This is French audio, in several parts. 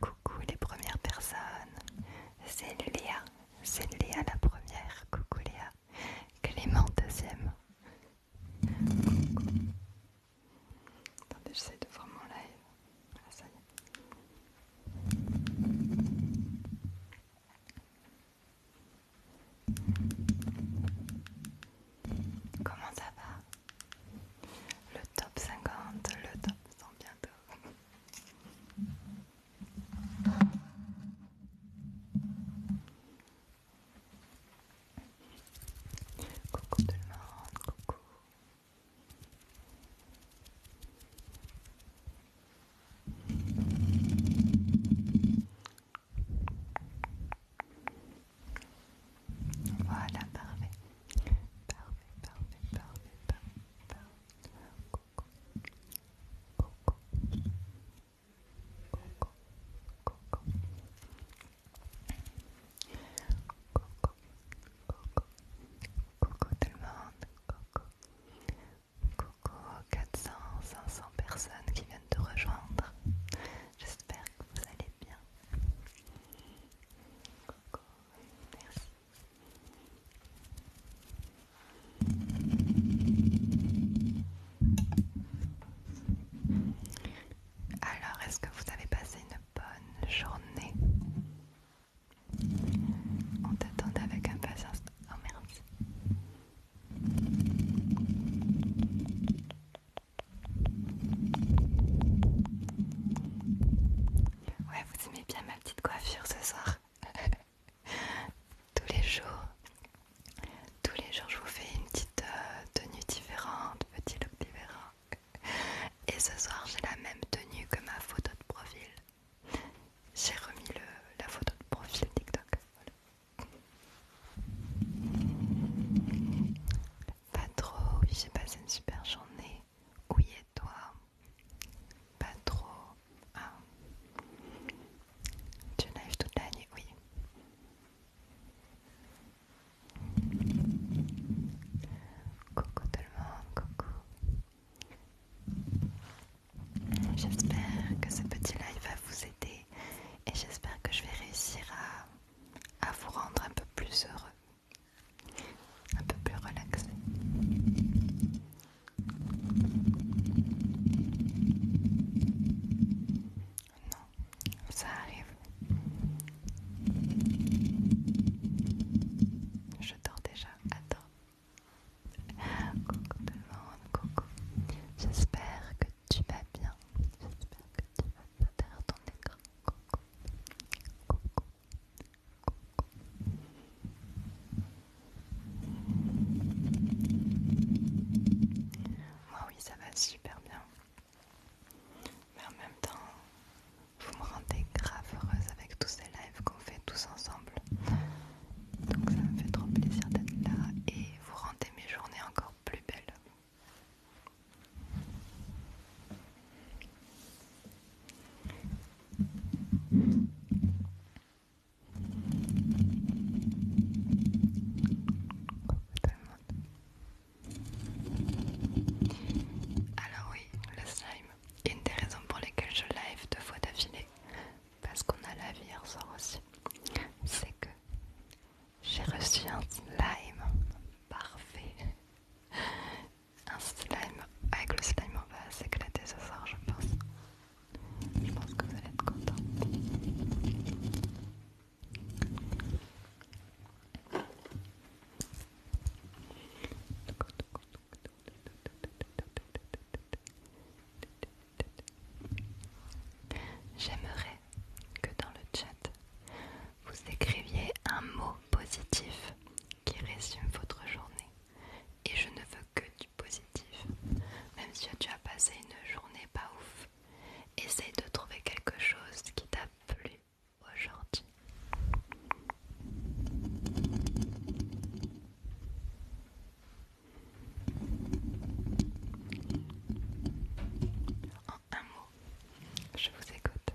Coucou les premières personnes, c'est Léa, c'est Léa la première, coucou Léa, Clément deuxième. Coucou. Attendez, j'essaie de voir mon live. Ah, ça Comment ça va Le top 50, le top 100 bientôt. Coucou tout le monde, coucou. Voilà, parfait. Parfait, parfait, parfait, Coucou 400, 500 personnes qui viennent te rejoindre. J'espère que vous allez bien. Coucou, merci. Alors, est-ce que vous avez passé une bonne journée on t'attend avec impatience. Oh merde. Ouais, vous aimez bien ma petite coiffure ce soir. tous les jours, tous les jours, je vous fais une petite euh, tenue différente, petit look différent. Et ce soir, j'ai la même tenue que ma photo de profil. J'ai remis la photo de profil TikTok. Pas trop, oui, j'ai passé une super journée. Oui, et toi Pas trop. Ah. Tu live toute l'année. oui. Coucou tout le monde, coucou. J'espère que ce petit live va vous aider et j'espère que je vais réussir à, vous rendre un peu plus heureux, un peu plus relaxé. Non, ça arrive. Je dors déjà. Attends. Coucou tout le monde, coucou. J'espère que tu vas bien. J'espère que tu vas bien derrière ton écran. Coucou. Coucou. Coucou. Moi oui, ça va super bien. Mais en même temps, vous me rendez grave heureuse avec tout ces qu'on fait tous ensemble. Donc ça me fait trop plaisir d'être là et vous rendez mes journées encore plus belles. Alors oui, le slime. Une des raisons pour lesquelles je live deux fois d'affilée, parce qu'on a la vie hier soir aussi, c'est que j'ai reçu un slime parfait. Un slime avec le slime on va s'éclater ce soir je pense. Je pense que vous allez être content. J'aimerais que dans le chat, vous écriviez un mot positif qui résume votre journée. Et je ne veux que du positif. Même si tu as passé une journée pas ouf, essaye de trouver quelque chose qui t'a plu aujourd'hui. En un mot, je vous écoute.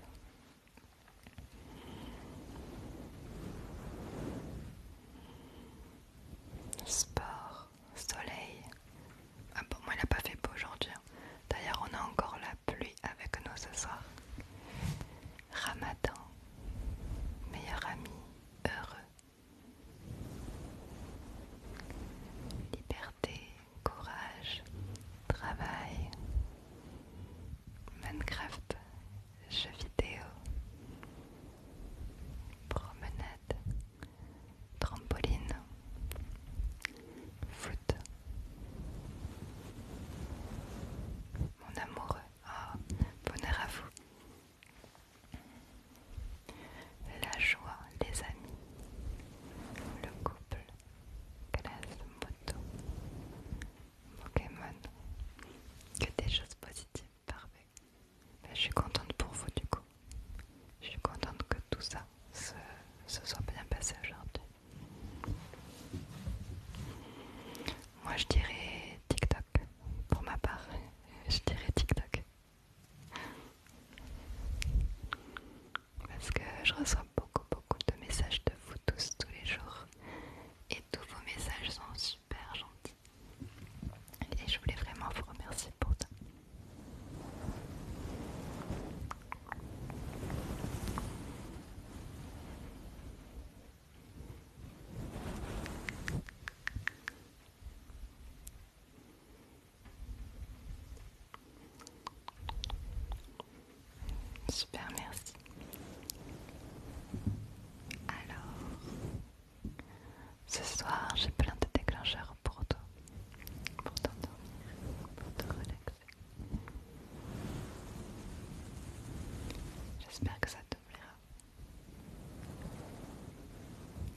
Sport, soleil. Ah bon, moi il n'a pas fait beau aujourd'hui. Hein. D'ailleurs, on a encore la pluie avec nous ce soir. Ramadan, meilleur ami, heureux. Liberté, courage, travail, Minecraft, jeux vidéo, promenade, trampoline, foot. Mon amoureux, oh, bonheur à vous. La joie, les amis, le couple, classe, moto, Pokémon, que des choses positives, parfait. Ben, je suis contente pour vous du coup. Je suis contente que tout ça se soit bien passé aujourd'hui. Moi je dirais TikTok pour ma part, je dirais TikTok. Parce que je reçois beaucoup, beaucoup de messages de vous tous tous les jours. Et tous vos messages sont super gentils. Et je voulais vraiment vous remercier pour ça. Super, merci. Alors, ce soir, j'ai plein de déclencheurs pour toi, pour t'endormir, pour te relaxer. J'espère que ça te plaira.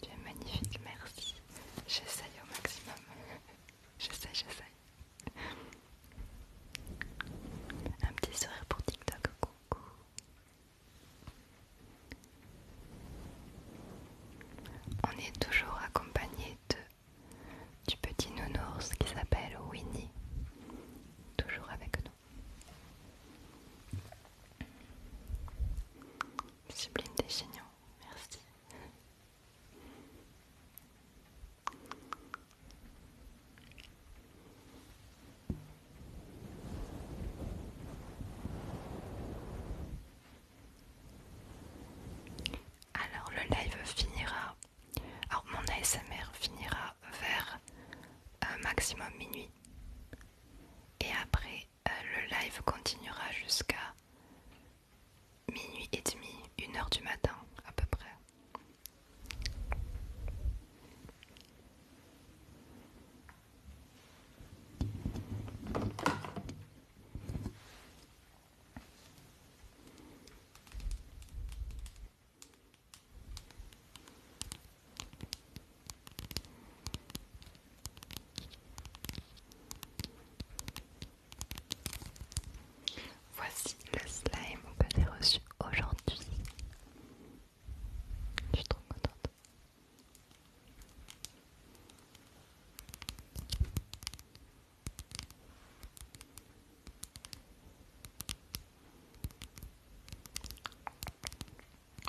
Tu es magnifique, merci. J'essaye au maximum. J'essaye, j'essaye. Un petit sourire pour TikTok, coucou. On est toujours accompagné de du petit nounours qui s'appelle Winnie, toujours avec nous. Sublime des génial, merci. Alors le live finira, alors mon ASMR finira vers un euh, maximum minuit et après, euh, le live continuera jusqu'à minuit et demi, une heure du matin à peu près. Voici le slime que j'ai reçu aujourd'hui. Je suis trop contente.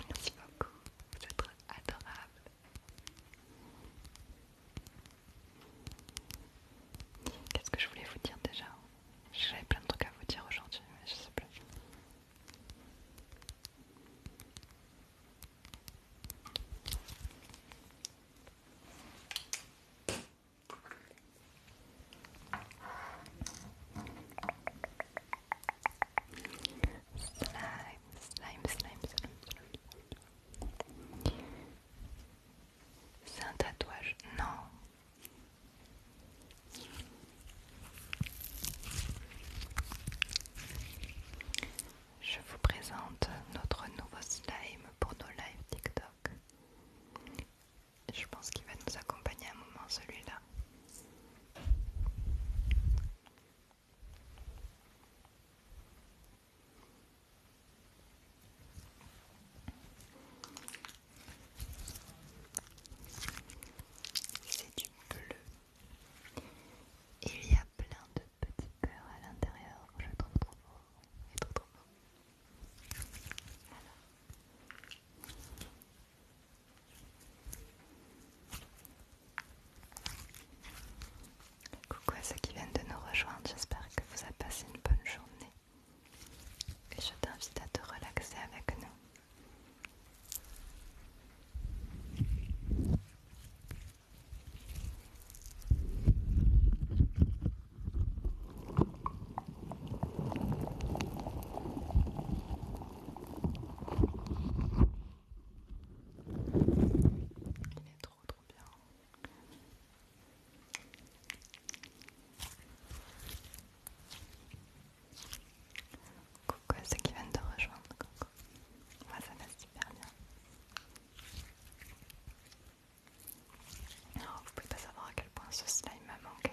Merci beaucoup, vous êtes adorable. Qu'est-ce que je voulais vous dire déjà J'avais plein de trucs à vous dire aujourd'hui, mais je sais plus. Slime, slime, slime, C'est un tatouage, non. Je vous présente notre nouveau slime pour nos lives TikTok. Je pense qu'il va nous accompagner un moment celui-là. C'est du bleu. Il y a plein de petits cœurs à l'intérieur. Je trouve trop beau. Et trop trop beau. Coucou à ceux qui viennent de nous rejoindre, j'espère que vous avez passé une bonne journée. Et je t'invite à te relaxer avec nous. Il est trop trop bien. Coucou c'est qui vient de rejoindre. Coucou. Moi ça va super bien. Alors, oh, vous pouvez pas savoir à quel point ce slime m'a manqué.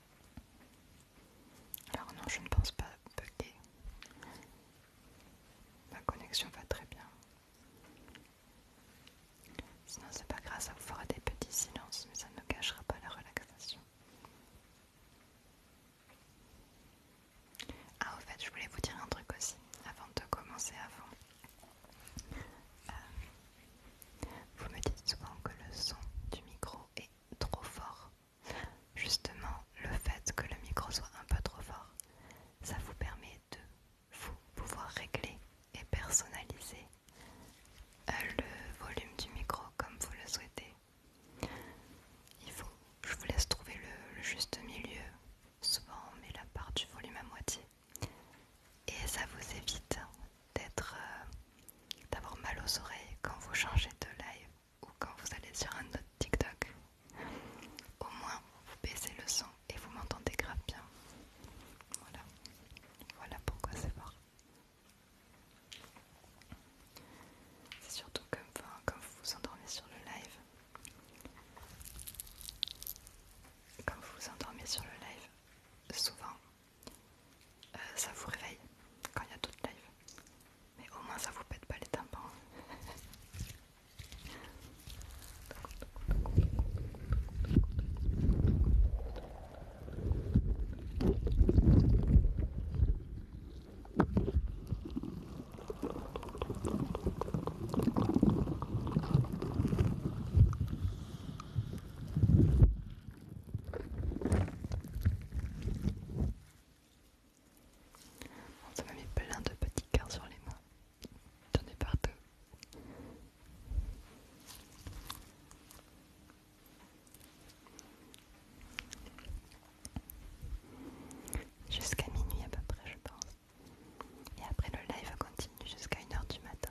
Alors non, je ne pense pas bugger. Ma connexion va très bien. Sinon c'est pas grave, ça vous fera des petits silences, mais ça ne cachera pas la relaxation. Ah au fait, je voulais vous dire un truc aussi, avant de commencer avant. Euh, vous me dites souvent que le son du micro est trop fort. Justement, le fait que le micro soit un peu trop fort, ça vous permet de vous pouvoir régler et personnaliser euh, le volume du micro comme vous le souhaitez. je vous laisse trouver le, juste milieu. Souvent, on met la part du volume à moitié et ça vous évite euh, d'avoir mal aux oreilles quand vous changez de live ou quand vous allez sur un autre TikTok. Au moins, vous baissez le son et vous m'entendez grave bien. Voilà. Voilà pourquoi c'est fort. C'est surtout comme quand vous vous endormez sur le live. Quand vous vous endormez sur le live, souvent, euh, ça vous réveille quand il y a d'autres lives. Mais au moins ça vous pète pas les tympans. On se met plein de petits cœurs sur les mains. Tenez par peu. Jusqu'à minuit à peu près, je pense. Et après, le live continue jusqu'à 1h du matin.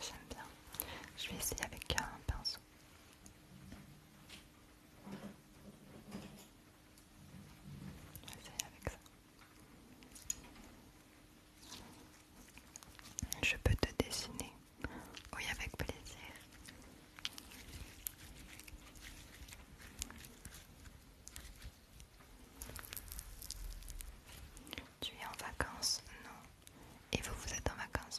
J'aime bien. Je vais essayer avec un pinceau. Je peux te dessiner. Oui, avec plaisir. Tu es en vacances Non. Et vous, vous êtes en vacances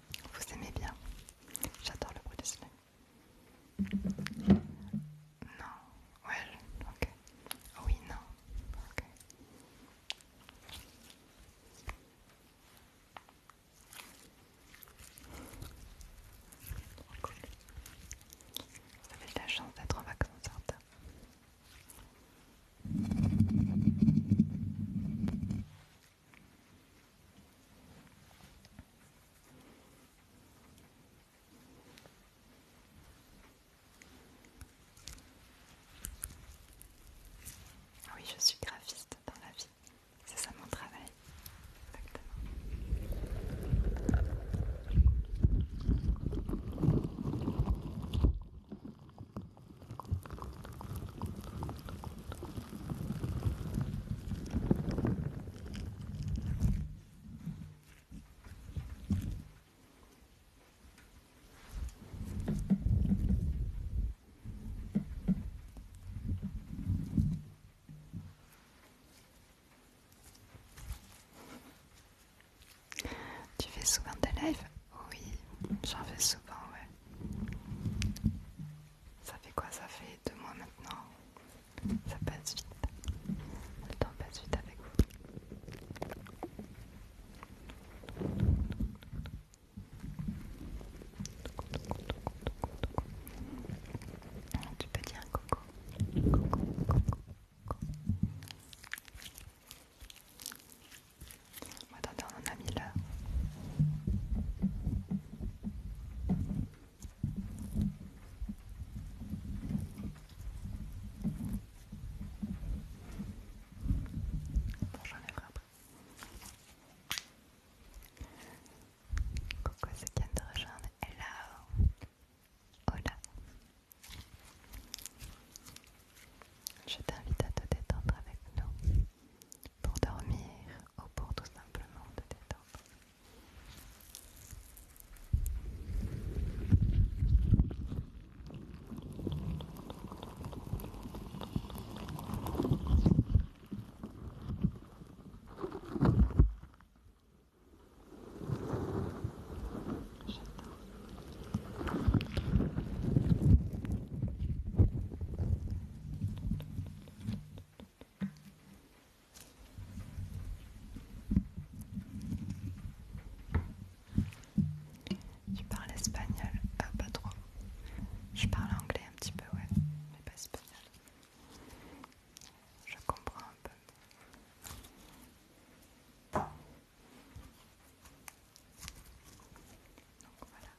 Vous aimez bien J'adore le bruit de cela. Non, ouais, ok. Oui, non, ok. Cool. Vous avez de la chance d'être en vacances, certains. Oui, je suis graphiste dans la vie. C'est ça mon travail. Tu fais souvent des lives Oui, j'en fais souvent, ouais. Ça fait quoi Ça fait deux mois maintenant. Ça passe vite. Le temps passe vite avec vous. Tu peux dire Coucou, coucou, coucou. Attendez, on en a mis là. Bon, j'enlèverai après. Coucou c'est qui de rejoindre. Hello. Hola. Je t'invite à te détendre avec nous pour dormir ou pour tout simplement te détendre. J'adore. Tu parles espagnol ah, pas trop. Je parle anglais un petit peu, ouais, mais pas espagnol. Je comprends un peu voilà.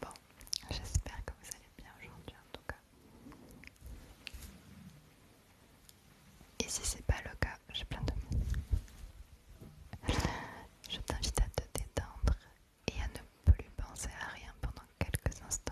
Bon, j'espère que vous allez bien aujourd'hui en tout cas. Et si c'est pas le cas, j'ai plein de mots. Je t'invite à te détendre et à ne plus penser à rien pendant quelques instants.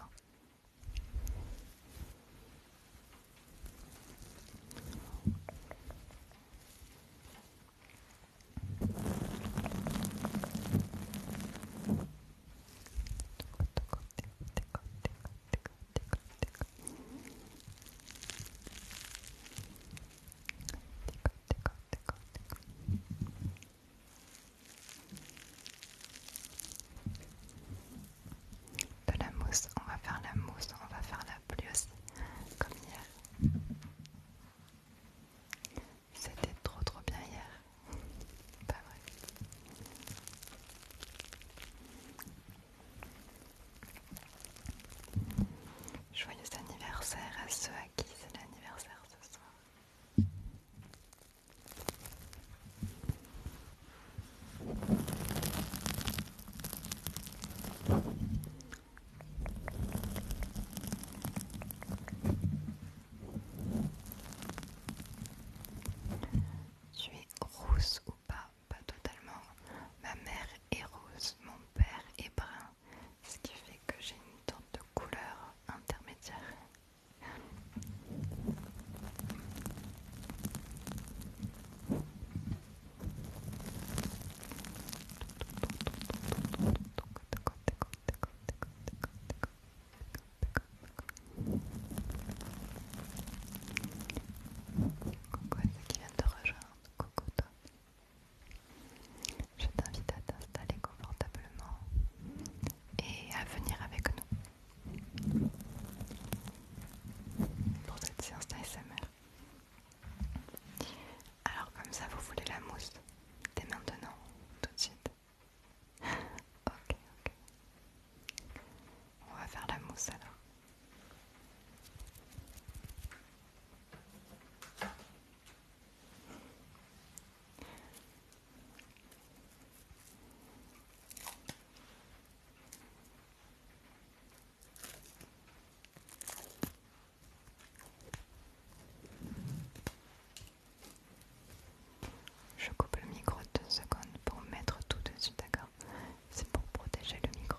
De la mousse, on va faire la mousse, on va faire la pluie aussi, comme hier. C'était trop trop bien hier. Pas vrai. Joyeux anniversaire à ceux à qui c'est l'anniversaire ce soir. Tu es rousse ou pas pas totalement. Ma mère est rose, mon père est brun, ce qui fait que j'ai une tente de couleur intermédiaire. Coucou qui de rejoindre coucou toi. Je t'invite à t'installer confortablement et à venir avec nous pour cette séance d'ASMR. Alors comme ça, vous voulez la mousse dès maintenant, tout de suite. ok, ok. On va faire la mousse alors. Je coupe le micro deux secondes pour mettre tout dessus, d'accord C'est pour protéger le micro.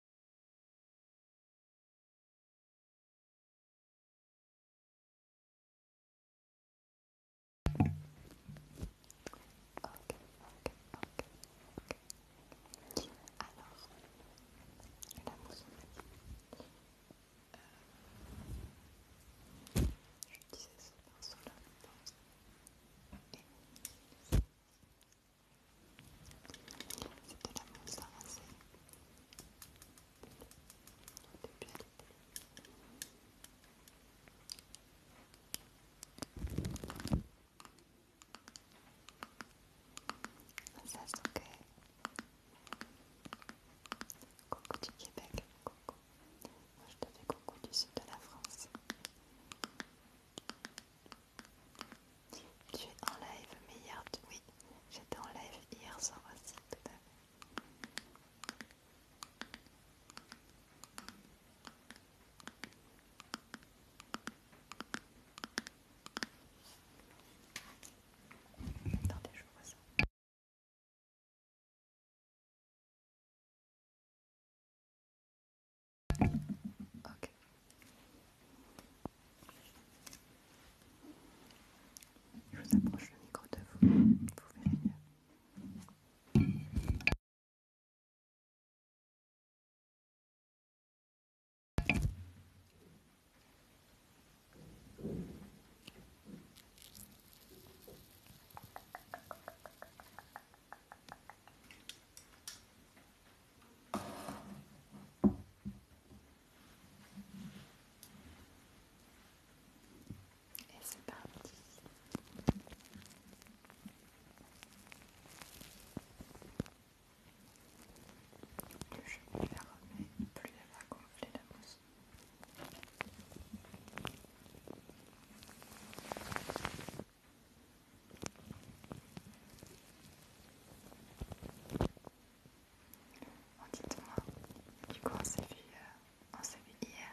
ok, ok, Alors, la mousse Je disais ce pinceau là, je C'était la mousse à ça c'est ok. Coucou du Québec, coucou. Moi je te fais coucou du sud de la France. Tu es en live, mais hier, oui, j'étais en live hier soir aussi, tout à fait. Attendez, je vois ça. Ok. Je vous approche le micro de vous, vous verrez et c'est parti. Plus je me la remets, plus elle va gonfler de mousse. Oh, dites-moi, du coup euh, on s'est vu, hier.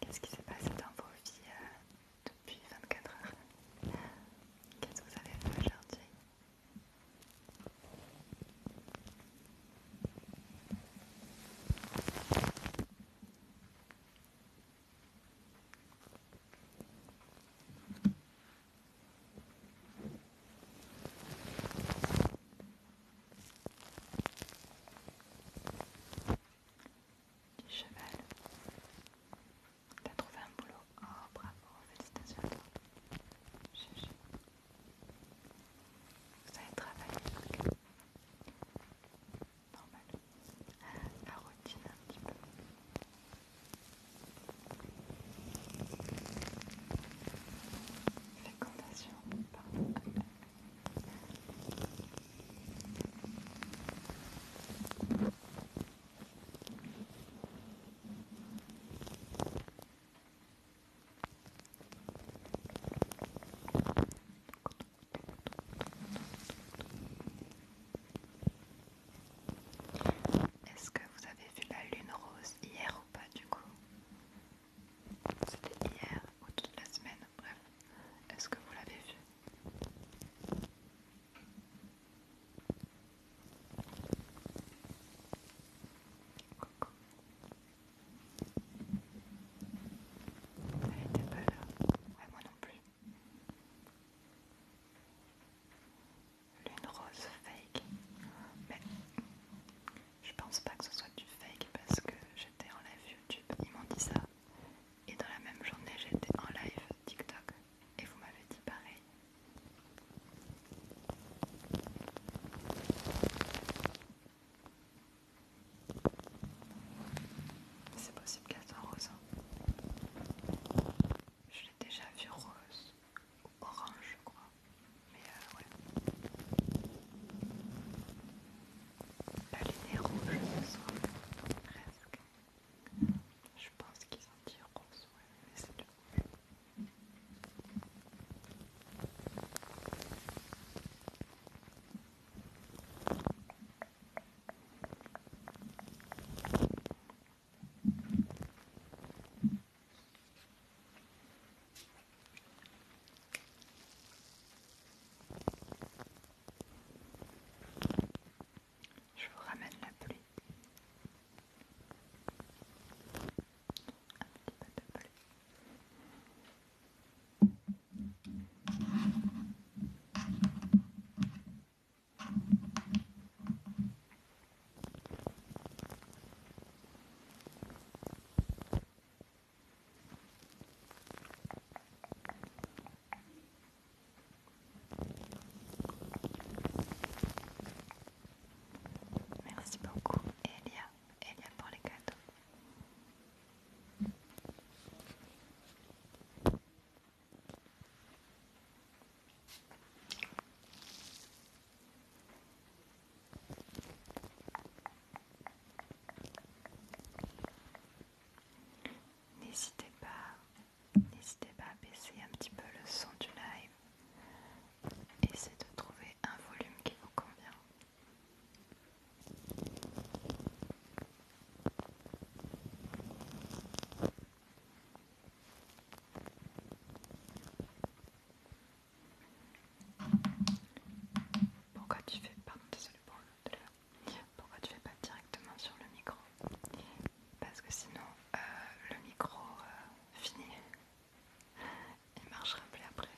Qu'est-ce qui s'est passé dans vos vies euh, depuis 24 heures Qu'est-ce que vous avez fait aujourd'hui du cheval. T'as trouvé un boulot. Oh bravo, félicitations Chuchu. Vous avez travaillé. Normal. Ah, la routine un petit peu. Fécondation, pardon. Est-ce que vous avez vu la lune rose hier ou pas du coup C'était hier ou toute la semaine, bref. Est-ce que vous l'avez vu Coucou. Elle était pas là. Ouais, moi non plus. Lune rose fake. Mais je pense pas que ce soit du fake parce que j'étais en live YouTube, ils m'ont dit ça. Et dans la même journée, j'étais en live TikTok et vous m'avez dit pareil. C'est possible qu'elle soit rose. Hein. Je l'ai déjà vue rose orange, je crois. Mais euh, ouais. La ligne est rouge ce soir, presque. Je pense qu'ils ont dit rose, ouais, mais c'est du rouge. Je vous ramène la pluie. Un petit peu de pluie. Merci beaucoup Elia, Elia pour les cadeaux. N'hésitez pas, n'hésitez pas à baisser un petit peu le son du live. Essayez de trouver un volume qui vous convient. Pourquoi tu fais pour Pourquoi tu fais pas directement sur le micro Parce que sinon euh, le micro euh, finit et marche marchera plus après.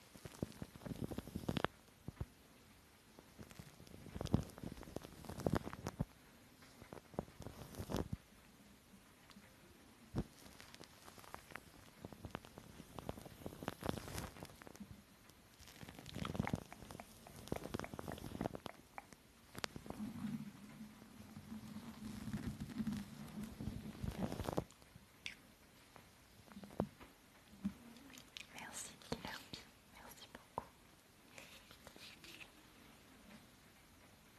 Merci merci beaucoup.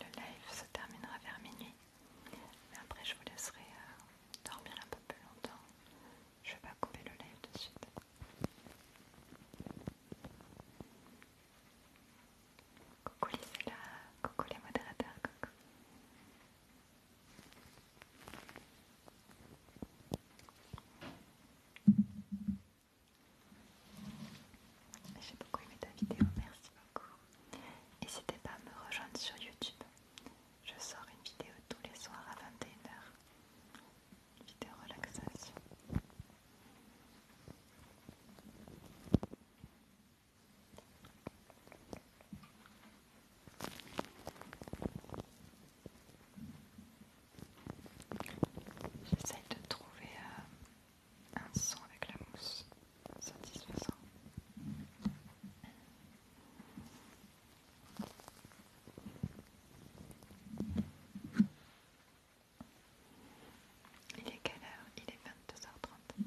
Le live se terminera vers minuit, mais après je vous laisserai euh, dormir un peu plus longtemps. Je vais pas couper le live de suite. Coucou les coucou les modérateurs, coucou. J'ai beaucoup aimé ta vidéo, merci beaucoup. N'hésitez pas à me rejoindre sur YouTube. Je sors une vidéo tous les soirs à 21h. Vidéo relaxation. J'essaie de trouver euh, un son avec la mousse satisfaisant. Il est quelle heure Il est 22h30.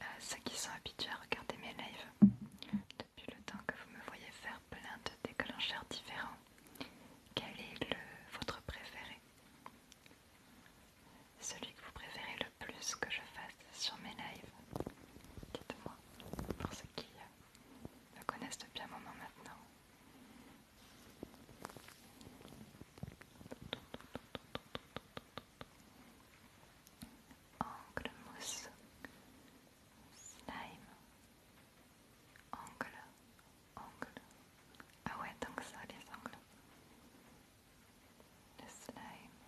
À euh, ceux qui sont habitués à regarder mes lives depuis le temps que vous me voyez faire plein de déclencheurs différents, quel est le, votre préféré Celui que vous préférez le plus que je fasse sur mes lives Dites-moi, pour ceux qui me connaissent depuis un moment maintenant. Angle mousse, slime, angle, angle. Ah ouais, donc ça, les angles. Le slime.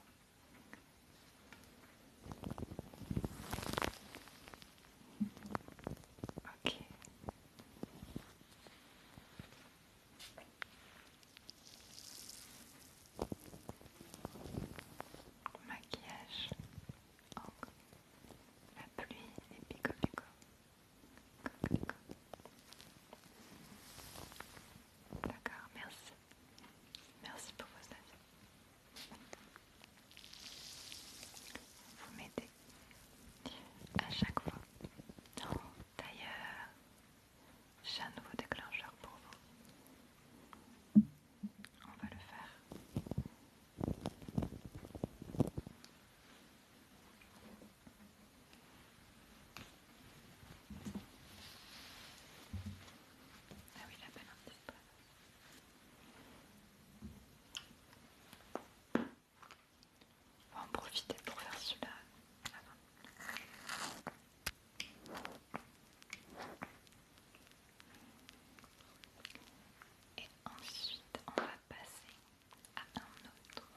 Ok, Maquillage, la pluie et pico D'accord, merci. Merci pour vos avis. Vous m'aidez à chaque fois. D'ailleurs, j'ai un nouveau déclencheur pour vous. On va le faire. Ah oui, on va en profiter pour faire cela. Et ensuite, on va passer à un autre.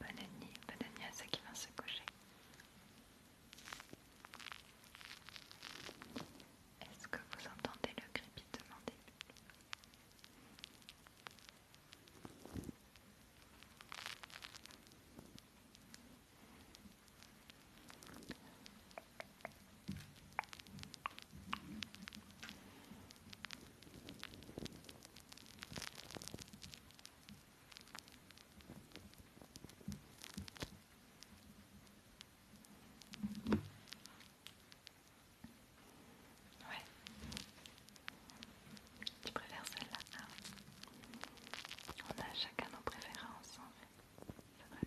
Bonne nuit, bonne nuit à qui vont se coucher. Est-ce que vous entendez le crépitement des Ouais. Tu préfères celle-là hein? On a chacun nos préférences en fait. C'est vrai.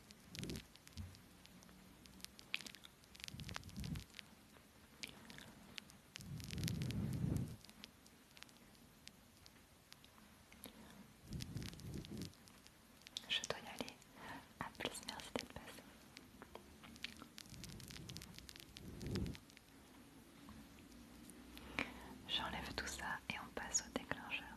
Je dois y aller. à plus, merci d'être J'enlève tout ça et on passe au déclencheur.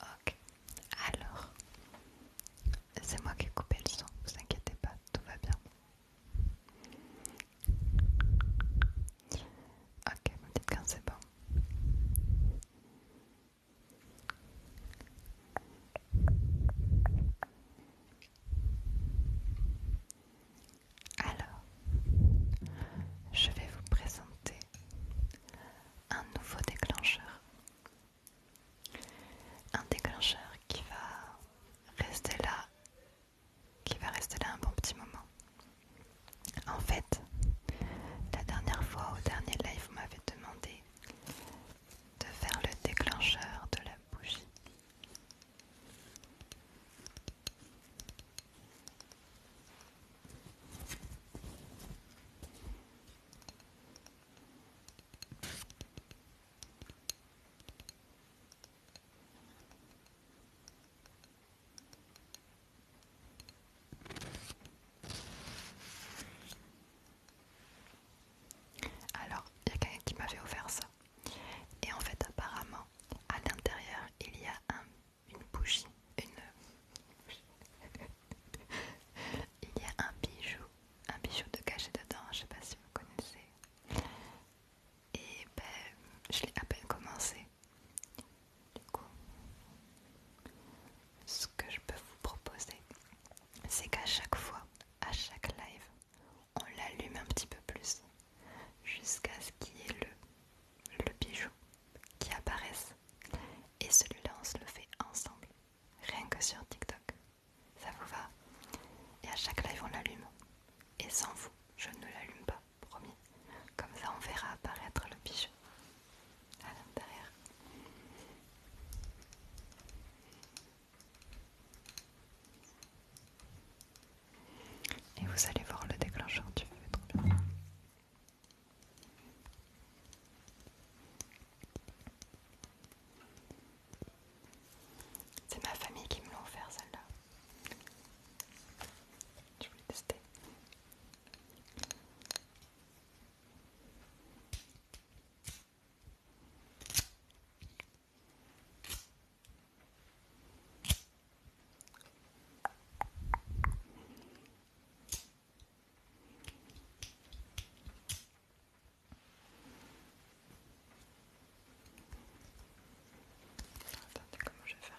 Ok, alors, c'est moi qui ai coupé le son, vous inquiétez pas, tout va bien. Ok, vous dites quand c'est bon. Alors, je vais vous présenter un nouveau déclencheur. Un déclencheur qui va rester là, qui va rester là un bon petit moment. En fait, la dernière fois au dernier live, vous m'avez demandé de faire le déclencheur de la bougie. Alors, il y a quelqu'un qui m'avait offert ça. Et en fait, apparemment, à l'intérieur, il y a une bougie, une... il y a un bijou, un bijou de cachet dedans, je sais pas si vous connaissez. Et ben, je l'ai à peine commencé. Du coup, ce que je peux vous proposer, c'est qu'à chaque fois, à chaque live, on l'allume un petit peu plus jusqu'à ce qu'il y ait le, bijou qui apparaisse. Et celui-là, on se le fait ensemble, rien que sur TikTok. Ça vous va Et à chaque live, on l'allume. Et sans vous, je ne l'allume pas, promis. Comme ça, on verra apparaître le bijou à l'intérieur. Et vous allez voir le déclencheur du bien. C'est ma famille qui me l'a offert celle-là. Je voulais tester. Attendez, comment je vais faire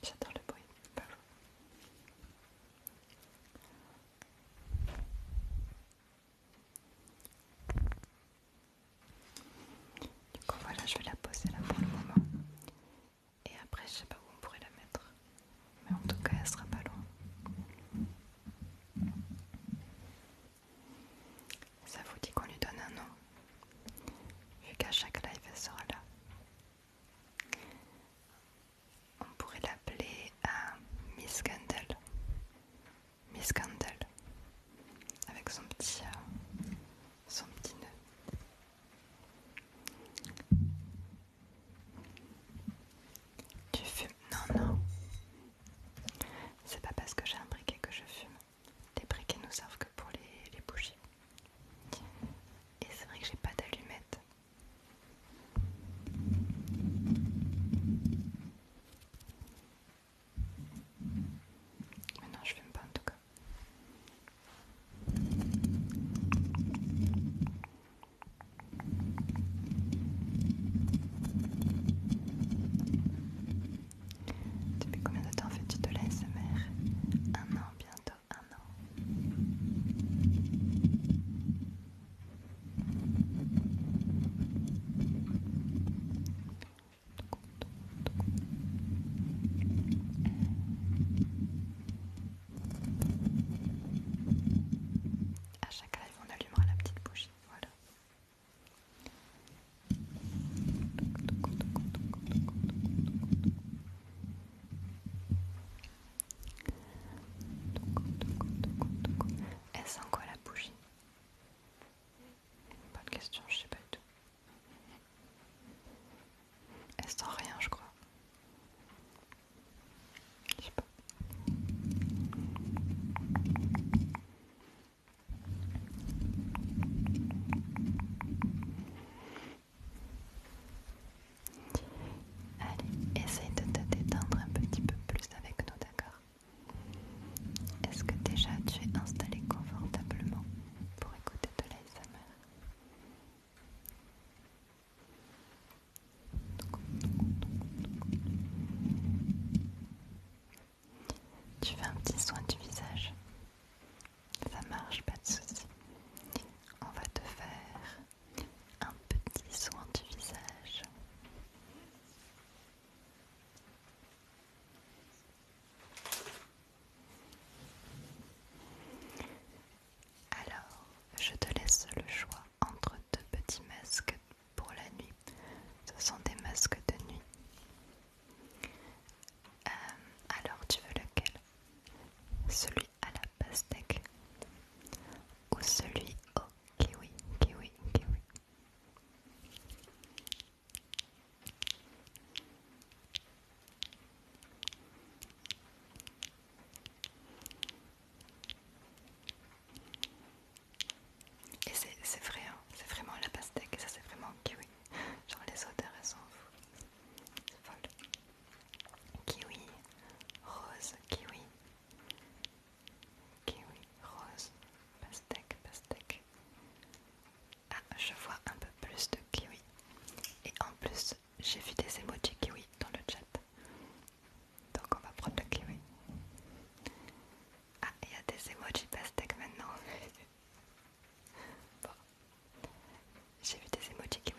J'adore le bruit. loin. Du coup voilà, je vais la poser là pour le moment. Et après, je sais pas où on pourrait la mettre. Mais en tout cas, elle sera pas loin. Ça vous dit qu'on lui donne un nom, vu qu'à chaque live elle sera là. On pourrait l'appeler euh, Miss Candle. Miss Candle. Avec son petit, euh, son petit nœud. Tu fumes Non, non. C'est pas parce que j'ai un briquet que je fume. Les briquets nous servent que pour les, les bougies. Et c'est vrai que j'ai pas d'allumettes. Mais non, je fume pas en tout cas. Depuis combien de temps fais-tu de l'ASMR Un an, bientôt un an. À chaque live, on allumera la petite bougie. Voilà. Elle sent quoi la bougie Pas de question, je sais pas du tout. Elle sent rien, je crois. Je sais pas. Allez, essaye de te détendre un petit peu plus avec nous, d'accord Est-ce que déjà tu es installé confortablement pour écouter de l'ASMR tu fais un petit soin du visage. Ça marche, pas de souci. On va te faire un petit soin du visage. Alors, je te laisse le choix entre deux petits masques pour la nuit. Ce sont des masques de nuit. Euh, alors tu veux lequel Celui à la pastèque ou celui au kiwi, kiwi, kiwi et c'est vrai, hein. c'est vraiment la pastèque, et ça c'est vraiment kiwi. Genre les odeurs elles sont folles. Kiwi, rose, kiwi. Kiwi, rose, pastèque, pastèque. Ah, je vois un peu plus de kiwi. Et en plus, j'ai vu des emojis kiwi dans le chat. Donc on va prendre le kiwi. Ah, il y a des emojis pastèques maintenant. J'ai vu des emojis qui m'ont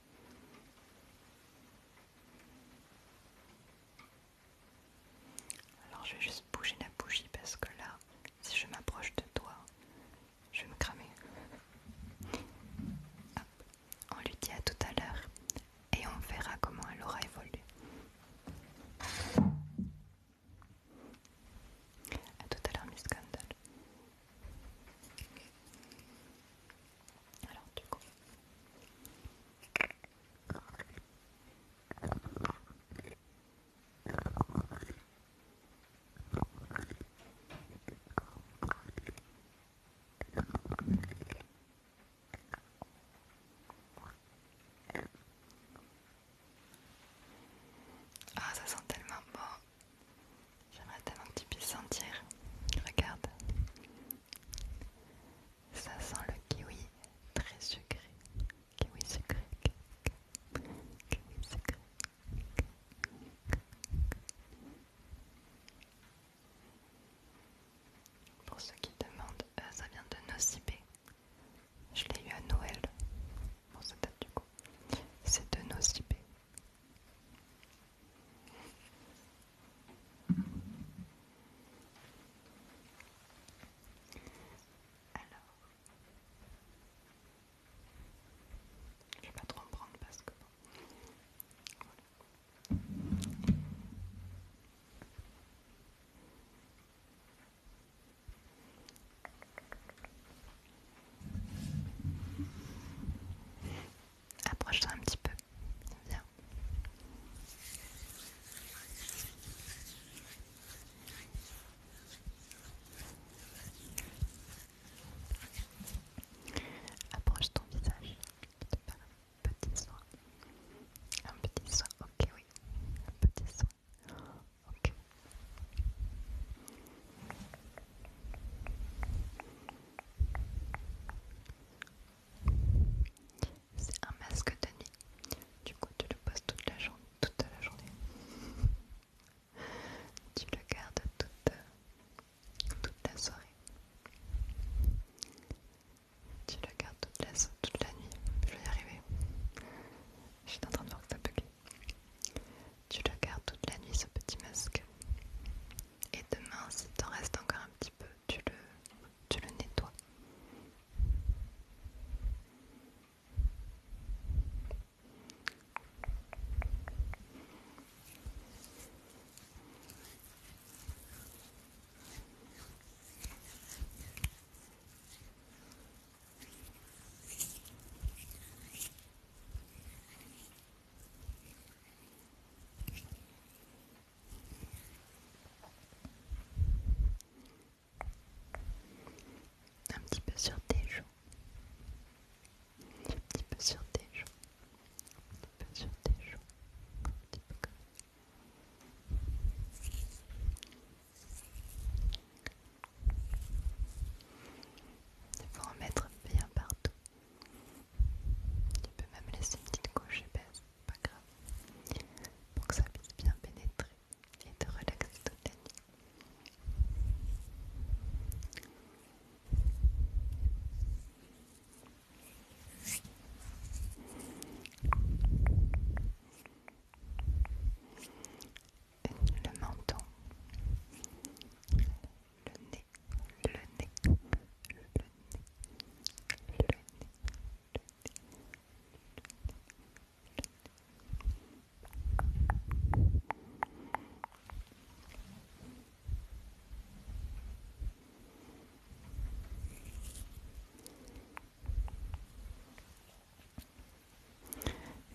Alors je vais juste bouger la bougie parce que là, si je m'approche de toi, je vais me cramer. On lui dit à tout à l'heure et on verra comment elle aura évolué. À tout à l'heure, Miss Scandal Alors, du coup, ah, ça sent tellement bon. J'aimerais tellement que tu puisses sentir. Regarde. Ça sent le kiwi très sucré. Kiwi sucré. Kiwi sucré. Pour ceux qui demandent, euh, ça vient de Nocibé. Je l'ai eu à Noël. Pour cette date du coup. C'est de Nocibé. Alors, je vais pas trop en prendre parce que Approche-toi un petit peu. Viens. Approche ton visage. un petit soin. Un petit soin, ok, oui. Un petit soin. Ok. C'est un masque de nuit. Du coup, tu le poses toute la journée, toute la journée. tu le gardes toute, toute la soirée. Tu le gardes toute la, nuit. Je vais y arriver. Je suis en train de voir que ça Tu le gardes toute la nuit ce petit masque. Et demain, s'il t'en reste encore un petit peu, tu le, tu le nettoies. Un petit peu sur tes joues. Un petit peu sur tes joues. Un petit peu sur tes joues. Un petit peu comme ça. Il faut en mettre bien partout. Tu peux même laisser une petite couche épaisse pas grave, pour que ça puisse bien pénétrer et te relaxer toute la nuit. Le menton, le nez, le nez, le nez,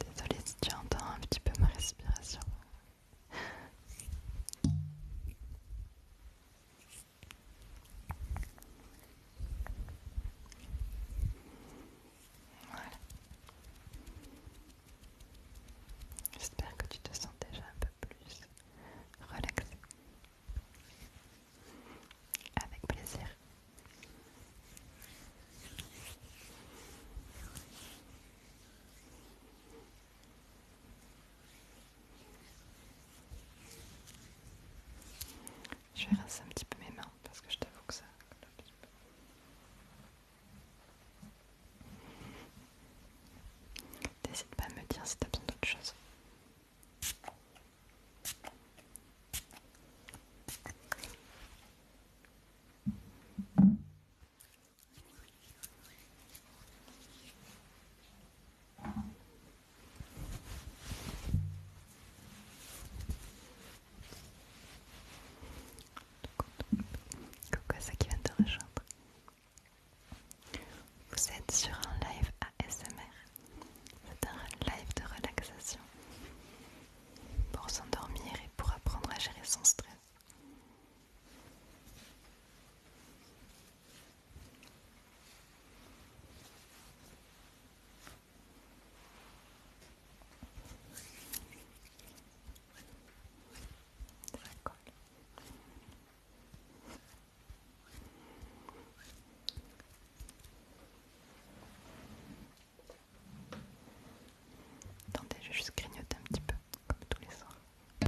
Désolée si tu entends un petit peu ma respiration. J'espère que tu te sens déjà un peu plus relaxé. Avec plaisir. Je vais rincer un petit peu mes mains parce que je t'avoue que ça. N'hésite pas à me dire si t'as besoin d'autre chose. Coucou à qui vient de rejoindre. Vous êtes sur un live ASMR. C'est un live de relaxation pour s'endormir et pour apprendre à gérer son stress. Attendez, je juste grignoter un petit peu, comme tous les soirs.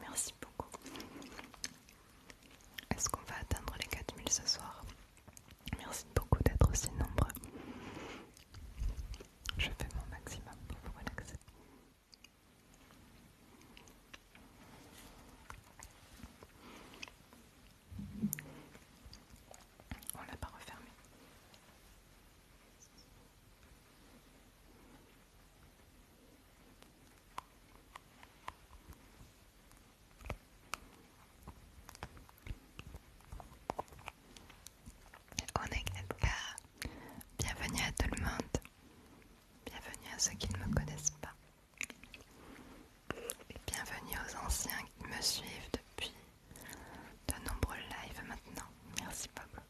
Merci beaucoup. Est-ce qu'on va atteindre les 4000 ce soir Merci beaucoup d'être aussi nombreux. Je fais mon maximum pour vous relaxer. On l'a pas refermé. On est Bienvenue à tout le monde. Bienvenue à ceux qui ne me connaissent pas. Bienvenue aux anciens qui me suivent depuis de nombreux lives maintenant. Merci Bob.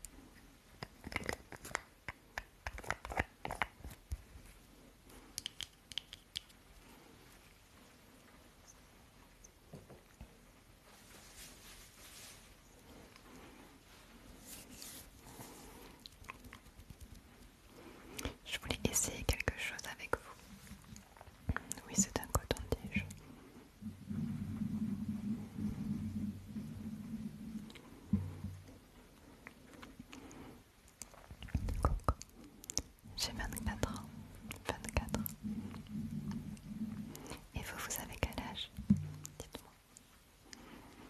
Je voulais essayer quelque chose avec vous. Oui, c'est un coton-tige. Coucou. J'ai 24 ans. 24 ans. Et vous, vous avez quel âge Dites-moi.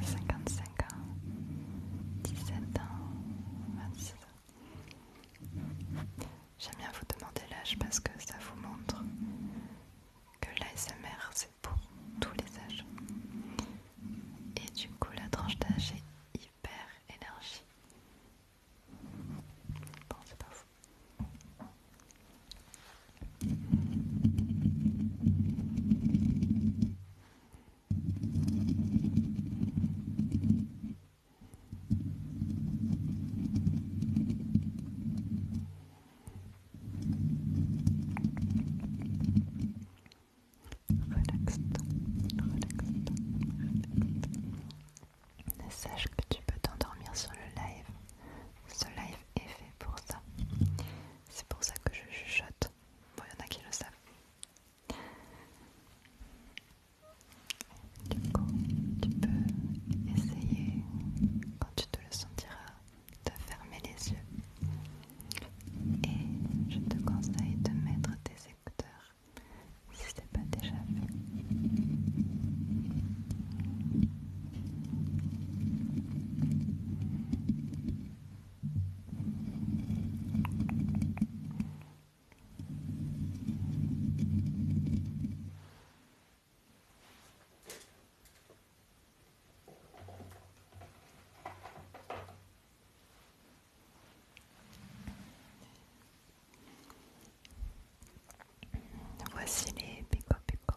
55 ans, 17 ans, 26 ans. J'aime bien vous demander l'âge parce que ça vous montre que l'ASMR c'est pour tous les âges. Et du coup la tranche d'âge est hyper énergie. Bon c'est pas fou. Relaxe-toi, Sache que tu peux t'endormir sur le live. Ce live est fait pour ça. C'est pour ça que je chuchote. Bon, il y en a qui le savent. Du coup, tu peux essayer, quand tu te le sentiras, de fermer les yeux. Et je te conseille de mettre tes écouteurs si ce n'est pas déjà fait. Voici les pico pico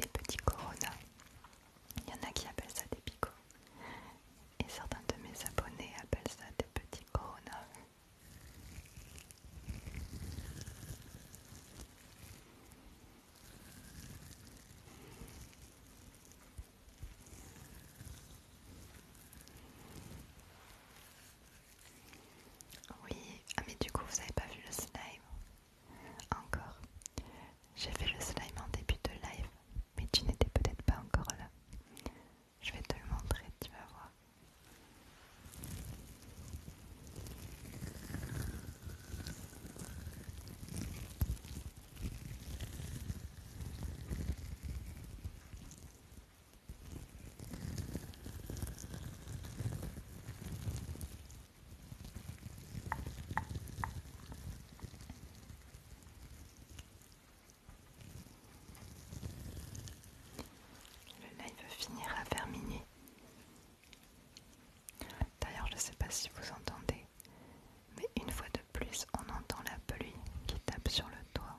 Les petits Corona, il y en a qui appellent ça des picots. Et certains de mes abonnés appellent ça des petits Corona. Oui, ah mais du coup vous avez pas vu le slime Encore. J'ai fait le slime en début de live, mais tu n'étais peut-être pas encore là. Je vais te le montrer, tu vas voir. Le live finira vers minuit. D'ailleurs, je ne sais pas si vous entendez, mais une fois de plus, on entend la pluie qui tape sur le toit.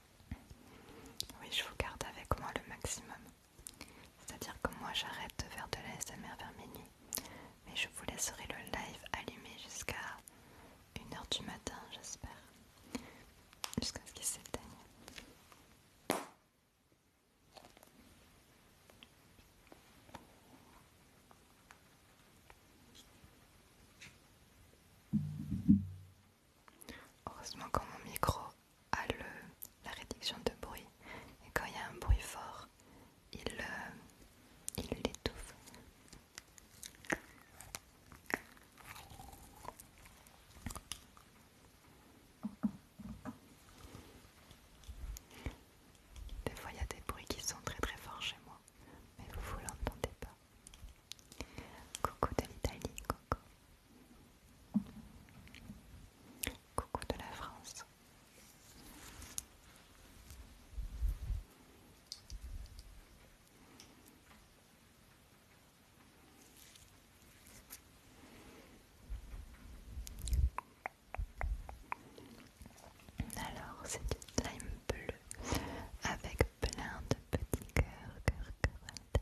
Oui, je vous garde avec moi le maximum. C'est-à-dire que moi j'arrête de faire de mer vers minuit, mais je vous laisserai le live allumé jusqu'à 1h du matin, j'espère. Jusqu'à ce qu'il s'éteigne. Heureusement quand mon micro a le, la réduction de bruit et quand il y a un bruit fort, euh, il l'étouffe. des fois il y a des bruits qui sont très très forts chez moi, mais vous vous l'entendez pas. Coucou de l'Italie, coucou. Coucou de la France. Alors, c'est une slime bleu avec plein de petits cœurs, cœurs, cœurs.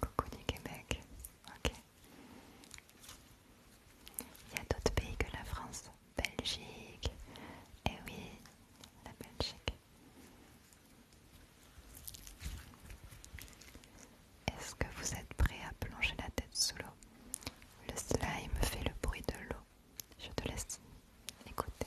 Coucou du Québec. Ok. Il y a d'autres pays que la France. Belgique. Eh oui, la Belgique. Est-ce que vous êtes prêt à plonger la tête sous l'eau Le slime fait le bruit de l'eau. Je te laisse écouter.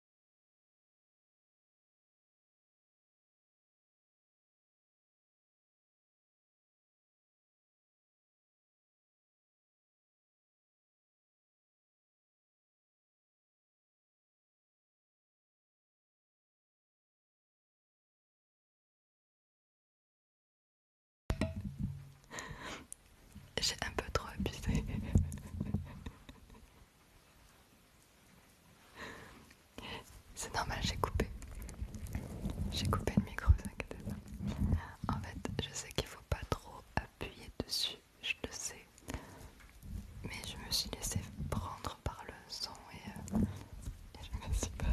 J'ai un peu trop abusé. C'est normal, j'ai coupé. J'ai coupé le micro, vous pas. En fait, je sais qu'il faut pas trop appuyer dessus, je le sais. Mais je me suis laissée prendre par le son et, euh, je me suis pas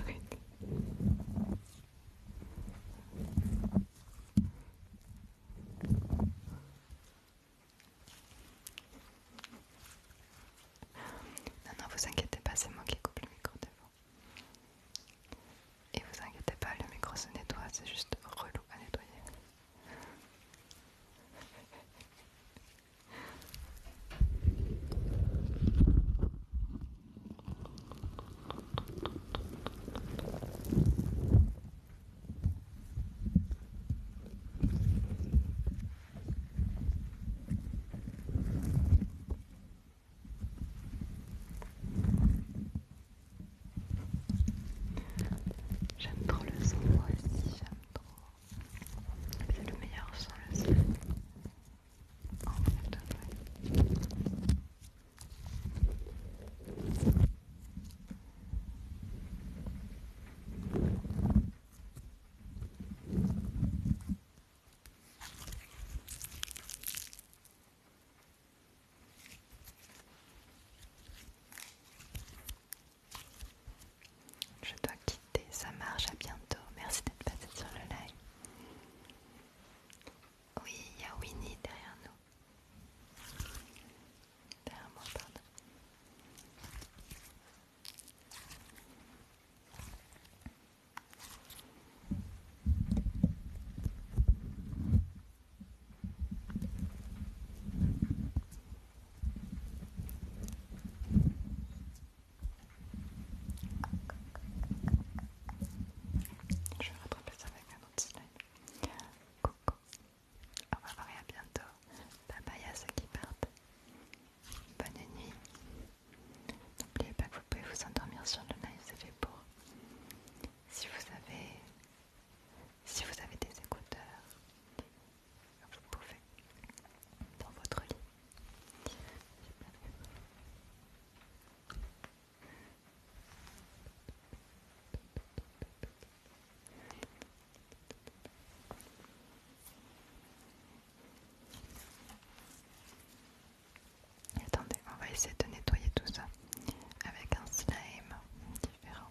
non, non, vous inquiétez pas, c'est moi qui coupe le micro devant. Et vous inquiétez pas, le micro se nettoie, c'est juste relou à nettoyer. J'aime trop le son, moi aussi, j'aime trop. C'est le meilleur son, le son. Oh, je dois quitter, ça marche, à bientôt. Merci d'être passé sur le live. Oui, il y a Winnie derrière nous. Derrière moi, pardon. Je vais ça avec un autre slime. Coucou. Au revoir et à bientôt. Bye bye à ceux qui partent. Bonne nuit. N'oubliez pas que vous pouvez vous endormir sur le live, c'est fait pour. Si vous avez, si vous avez des écouteurs, vous pouvez dans votre lit. Attendez, on va essayer de nettoyer tout ça avec un slime différent.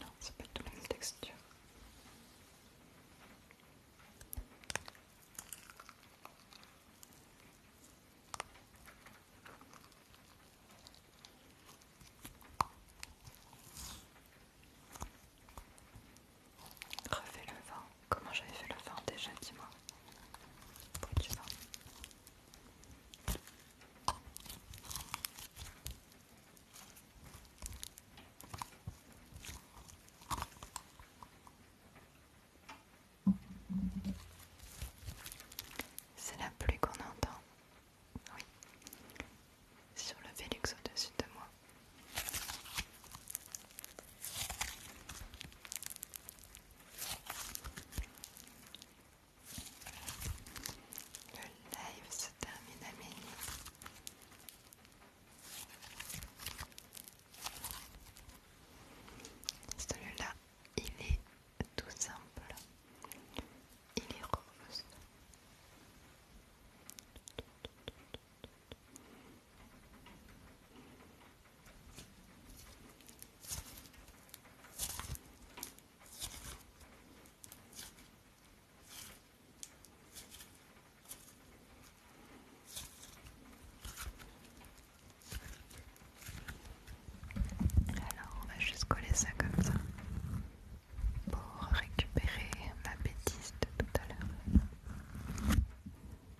Non, c'est pas tout la même texture. Refais le vin. Comment j'avais fait le vin déjà, dis-moi. C'est la pluie qu'on entend. Oui. Sur le Vélux au-dessus de moi. Le live se termine à minuit. Celui-là, il est tout simple. Il est rose. Alors on va juste coller ça comme ça pour récupérer ma bêtise de tout à l'heure.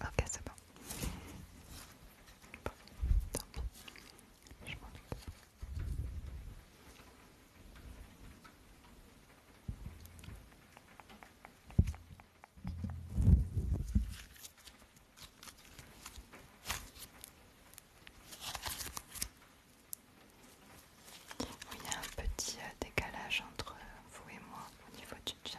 Ok, c'est bon. Bon, tant pis. Je m'en occupe. il y a un petit euh, décalage entre euh, vous et moi au niveau du chat.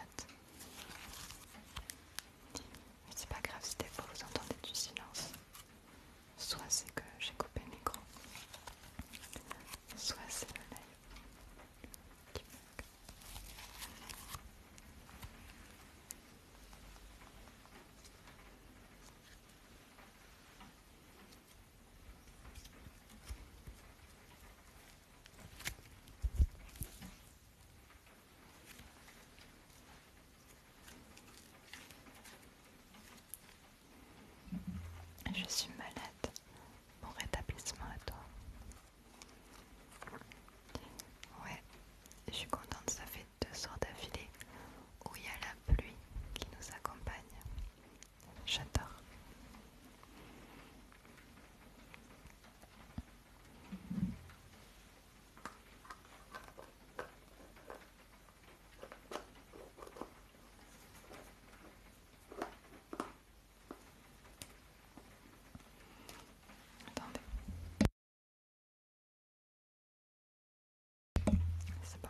Mais c'est pas grave si des fois vous entendez du silence. Soit c'est que j'ai coupé le micro, soit c'est le live je suis malade. Bon rétablissement à toi. Ouais, je suis contente, ça fait deux soirs d'affilée où il y a la pluie qui nous accompagne. J'adore. Attendez. C'est bon.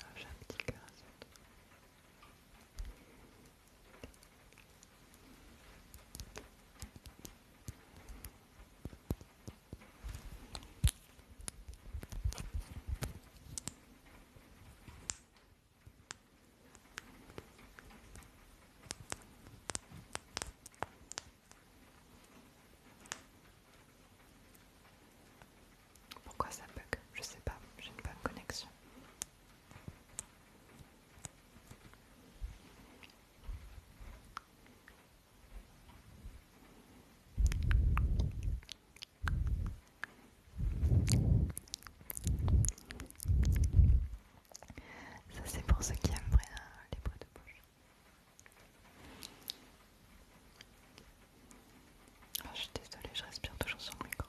Ah, j'ai un petit cœur à pourquoi ça bug Je sais pas, j'ai une bonne connexion. Ça c'est pour ceux qui aiment euh, les bois de bouche. Oh, je suis désolée, je respire toujours sur le micro.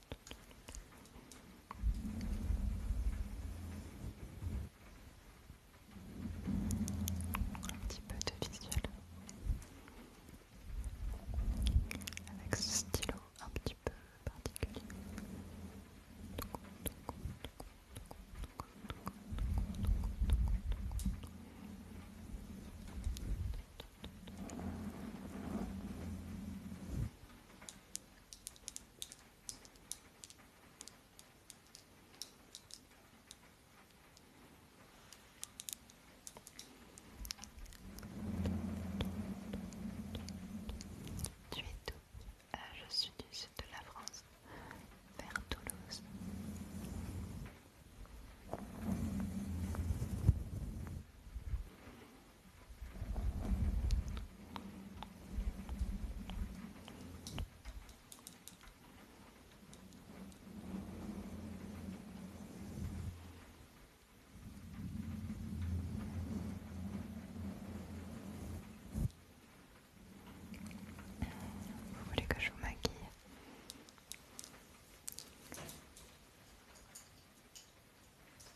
Un petit peu de visuel avec ce stylo un petit peu particulier. Tu es tout. Euh, je suis du sud de la France, vers Toulouse. Vous voulez que je vous maquille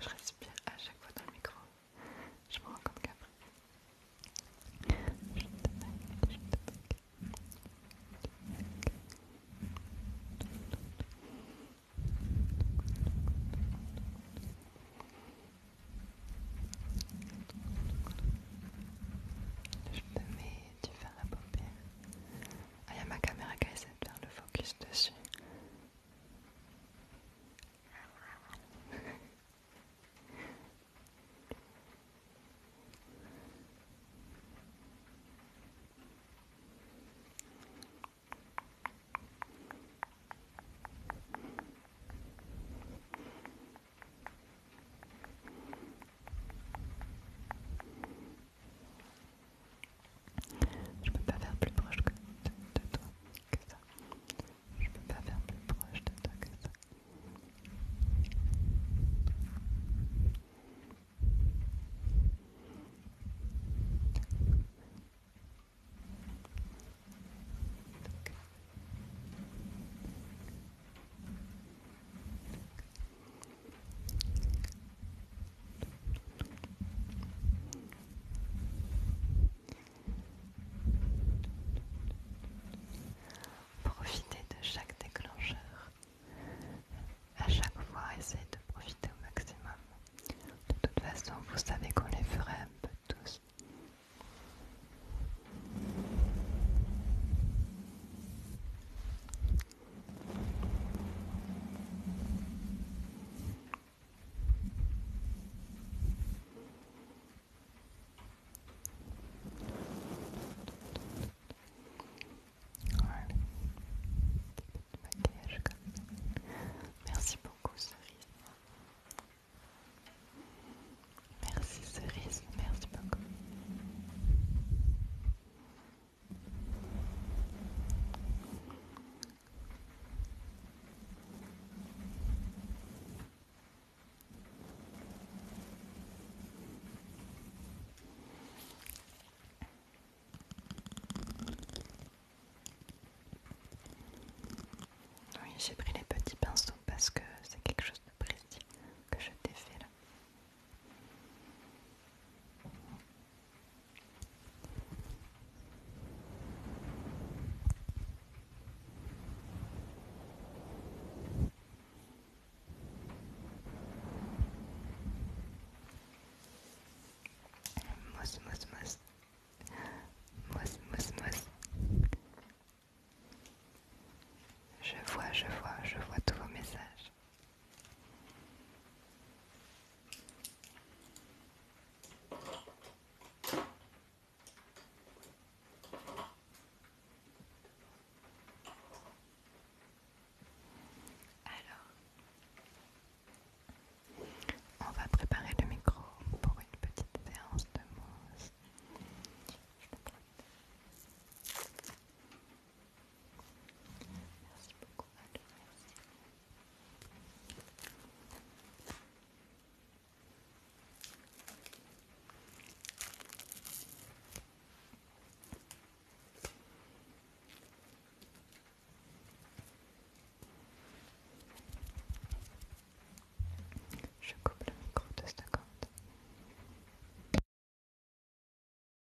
Je respire à chaque fois dans le micro. Je me rends compte qu'après. Je te me je je mets, du fais la paupière ah, il y a ma caméra qui essaie de faire le focus dessus. Je peux pas faire plus proche que de, toi que ça. Je peux pas faire plus proche de toi que ça. Profitez de chaque déclencheur. À chaque fois, essayez de profiter au maximum. De toute façon, vous savez qu'on les ferait un peu tous. Merci beaucoup Cerise. Merci Cerise, merci beaucoup. Oui, j'ai pris les petits pinceaux parce que c'est quelque chose de précis que je t'ai fait là. Mousse, mousse, mousse. Mousse, mousse, mousse. Je vois, je vois, je vois tous vos messages. Alors, on va préparer le micro pour une petite séance de mousse. Je coupe le micro de secondes.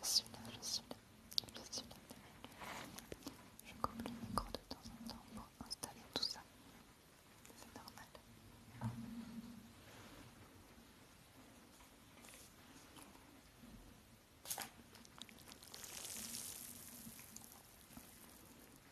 Je suis là, je suis là, je suis là. Je coupe le micro de temps en temps pour installer tout ça. C'est normal.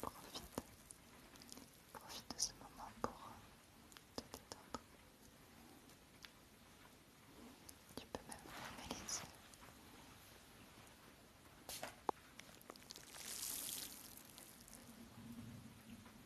Profite, profite de ce moment pour euh, te détendre. Tu peux même fermer les yeux.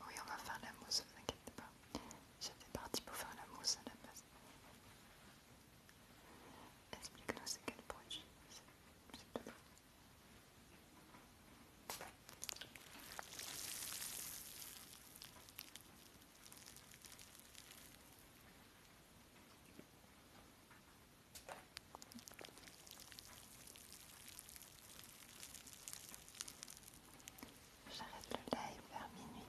Oui, on va faire la mousse, ne vous pas. J'étais parti pour faire la mousse à la base. Explique-nous ce quel produit, J'arrête le live vers minuit.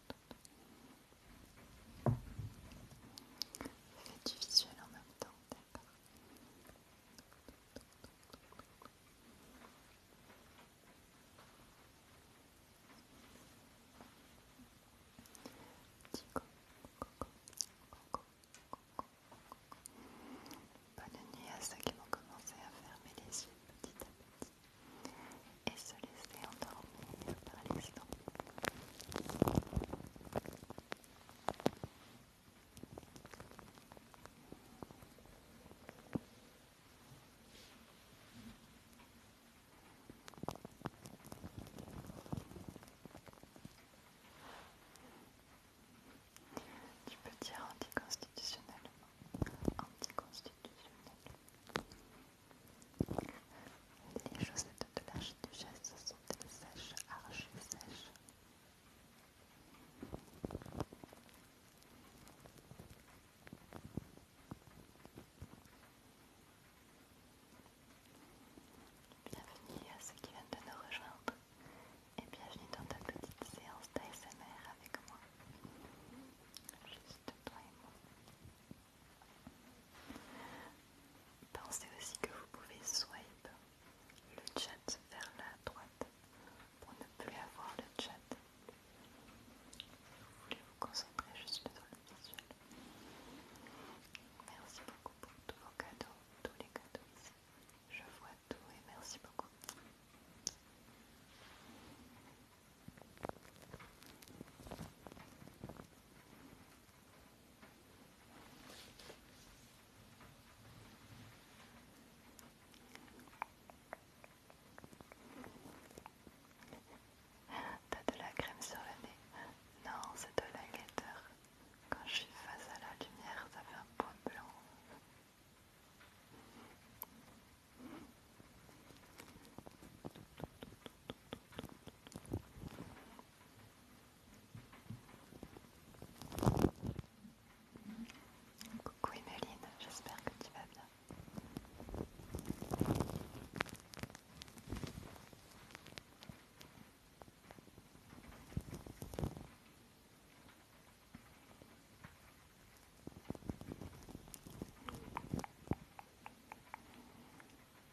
Fais du visuel en même temps, d'accord Bonne nuit à ceux qui vont commencer à fermer les yeux petit à petit se laisser endormir par l'instant. Tu peux dire anticonstitutionnellement. Anticonstitutionnel. Les chaussettes de geste sont-elles sèches, archi sèches Bienvenue à ceux qui viennent de nous rejoindre et bienvenue dans ta petite séance d'ASMR avec moi. Juste toi et moi. Pensez aussi que vous pouvez swipe le chat vers la droite pour ne plus avoir le chat. Vous voulez vous concentrer juste sur le visuel. Merci beaucoup pour tous vos cadeaux, tous les cadeaux ici. Je vois tout et merci beaucoup. T'as de la crème sur le nez Non, c'est de la guetteur. Quand je suis face à la lumière, ça fait un point blanc. Coucou Emeline, j'espère que tu vas bien.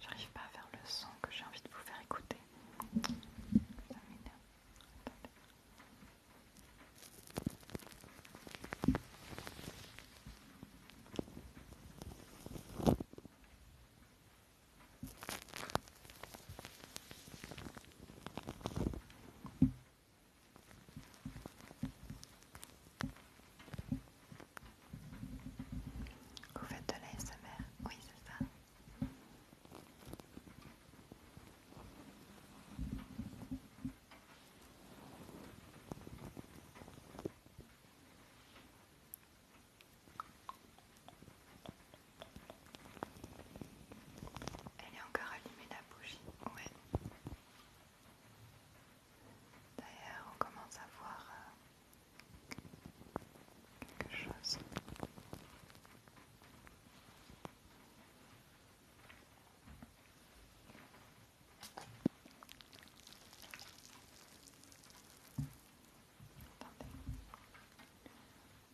J'arrive pas à faire le son que j'ai envie de vous faire écouter. Vous faites de l'ASMR Oui, c'est ça. Elle est encore allumée la bougie, ouais. D'ailleurs, on commence à voir euh, quelque chose.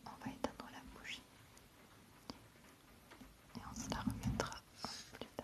On va éteindre la bougie et on se la remettra plus tard.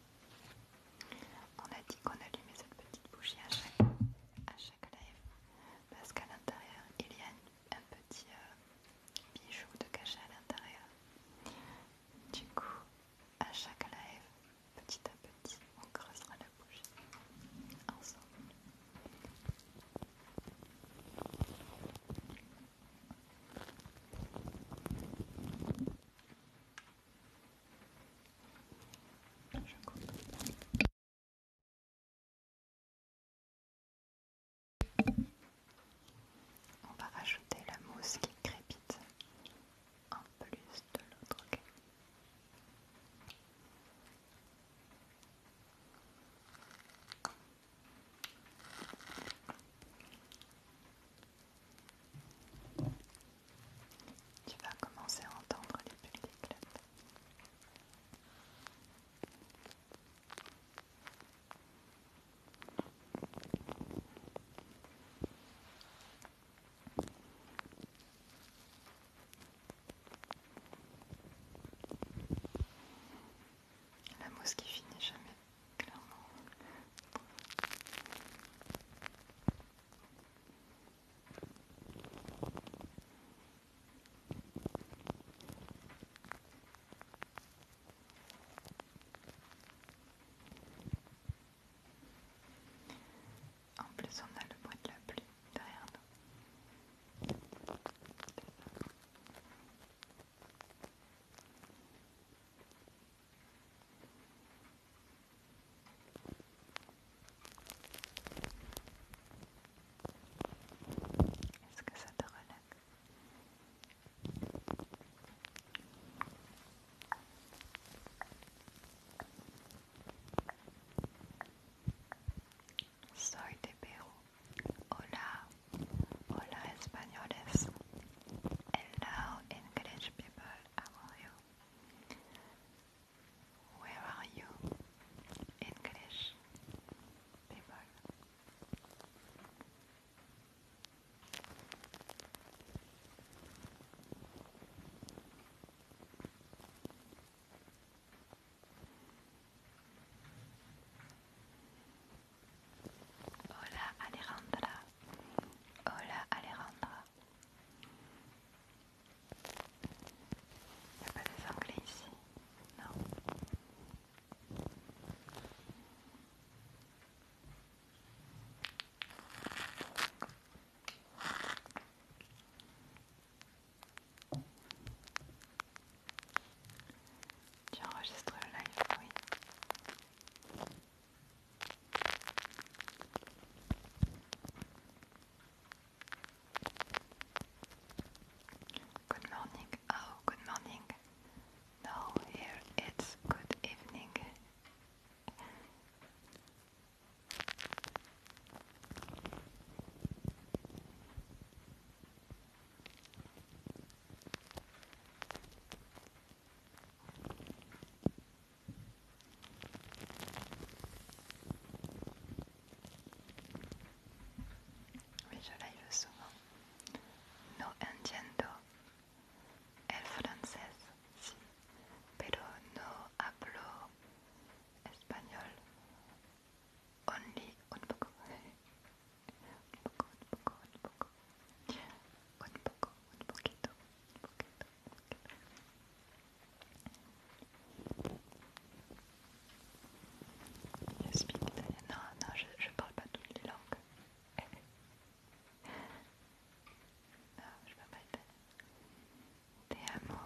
On a dit qu'on allumait cette petite bougie à chaque, live parce qu'à l'intérieur il y a un petit euh, bijou de cachet à l'intérieur. Du coup, à chaque live, petit à petit, on creusera la bougie ensemble. On va rajouter la mousse qui crépite en plus de l'autre. Tu vas commencer à entendre les bulles d'éclate. La mousse qui finit jamais, clairement. En plus, on a le bois de la pluie derrière nous. est que ça te relaxe Soy de Perú. Hola. Hola españoles. Hello English people. How are you? Where are you? English people. Hola Alejandra. Hola Alejandra. Il n'y a pas des anglais ici Non. Tu enregistres le live, oui. Good morning. Oh, good morning. No, here it's good evening. No entiendo el francés, sí, pero no hablo español. Only un poco. Un poco, un poco, un poco. Un poco, un poquito, un poquito. Non, non, je, je parle pas toutes les langues. Euh, non, je parle pas italien. Te amo.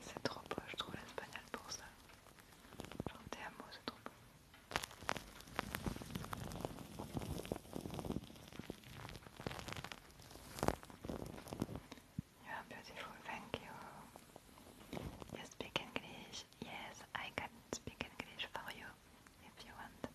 C'est trop beau, je trouve l'espagnol pour ça. Genre te c'est trop beau. You are beautiful, thank you. You speak English? Yes, I can speak English for you if you want.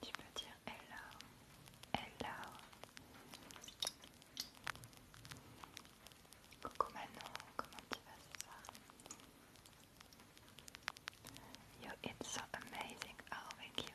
Tu peux dire hello, hello. Coucou Manon, comment tu vas ce soir You eat so amazing, I'll oh, make you.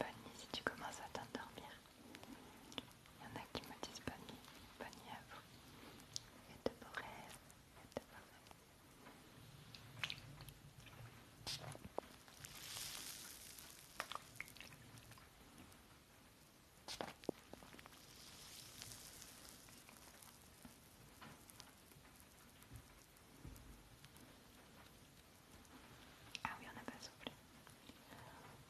Bonne nuit si tu commences à t'endormir. Il y en a qui me disent bonne nuit, bonne à vous. Et de beaux rêves, et de beaux rêves. Ah oui, on n'a pas soufflé.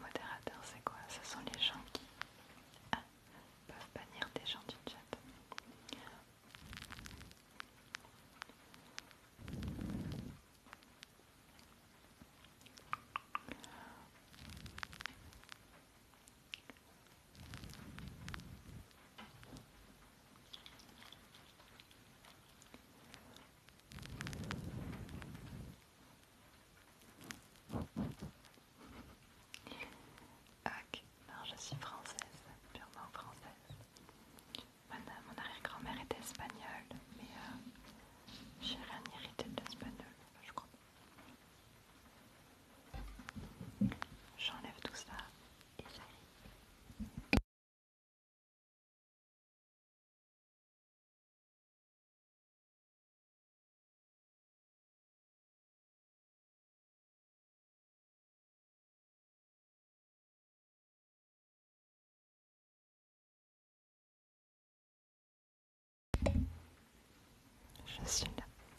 Modérateur, c'est quoi Ce sont les gens qui ah, peuvent bannir des gens du chat je suis française, purement française. mon euh, arrière-grand-mère était espagnole, mais euh, j'ai rien hérité de l'espagnol, je crois. J'enlève tout ça je suis là.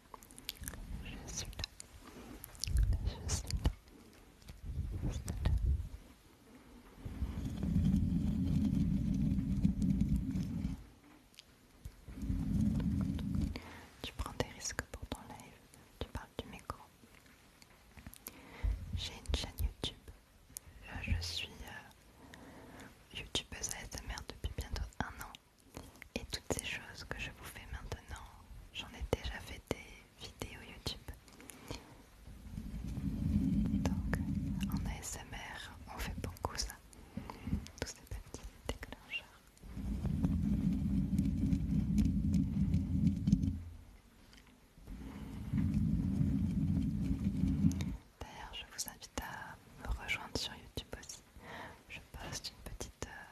Je suis là. Je suis là. Je suis là. Tu prends des risques pour ton live, tu parles du micro. J'ai une chaîne YouTube. Euh, je suis euh, à youtubeuse ASMR depuis bientôt un an. Et toutes ces choses que je vous fais maintenant, j'en ai déjà fait des vidéos YouTube. Donc en ASMR, on fait beaucoup ça. Tous ces petits déclencheurs. D'ailleurs, je vous invite à me rejoindre sur YouTube aussi. Je poste une petite euh,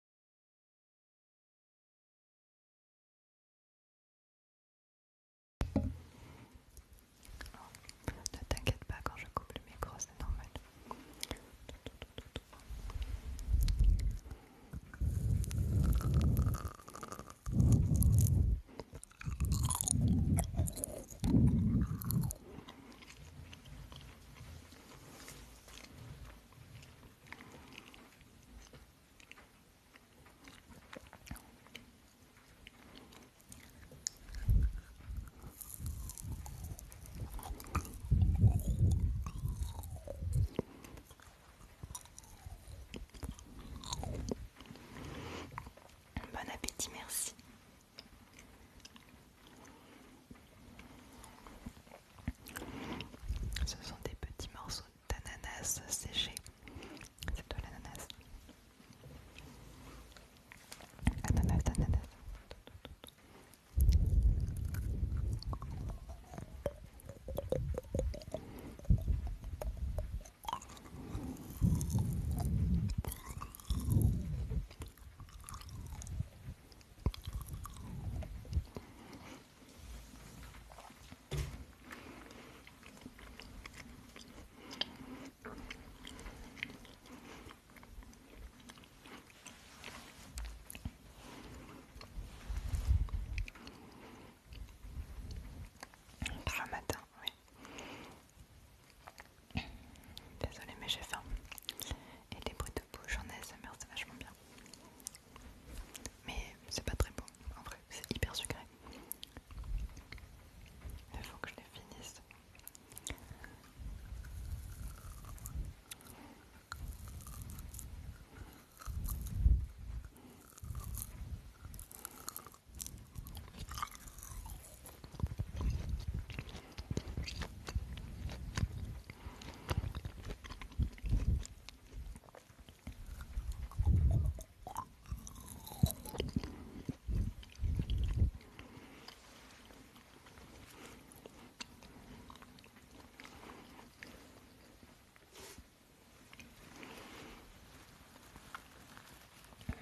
Ne t'inquiète pas quand je coupe le micro, c'est normal. Bon appétit, merci. Ce sont des petits morceaux d'ananas séché. C'est tout l'ananas. Ananas, ananas. Pour oui. Désolée mais j'ai faim. Et les bruits de bouche en ASMR c'est vachement bien. Mais c'est pas très bon, en vrai, c'est hyper sucré. Il faut que je les finisse.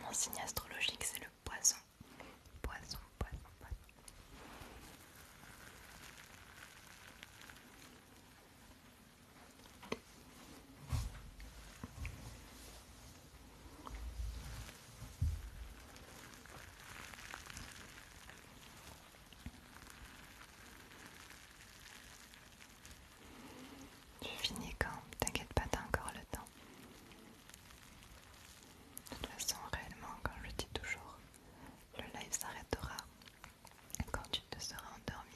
Mon signe astrologique, c'est le poisson. Poisson, poisson, je finis quand T'inquiète pas, t'as encore le temps. De toute façon, réellement, comme je dis toujours, le live s'arrêtera quand tu te seras endormi.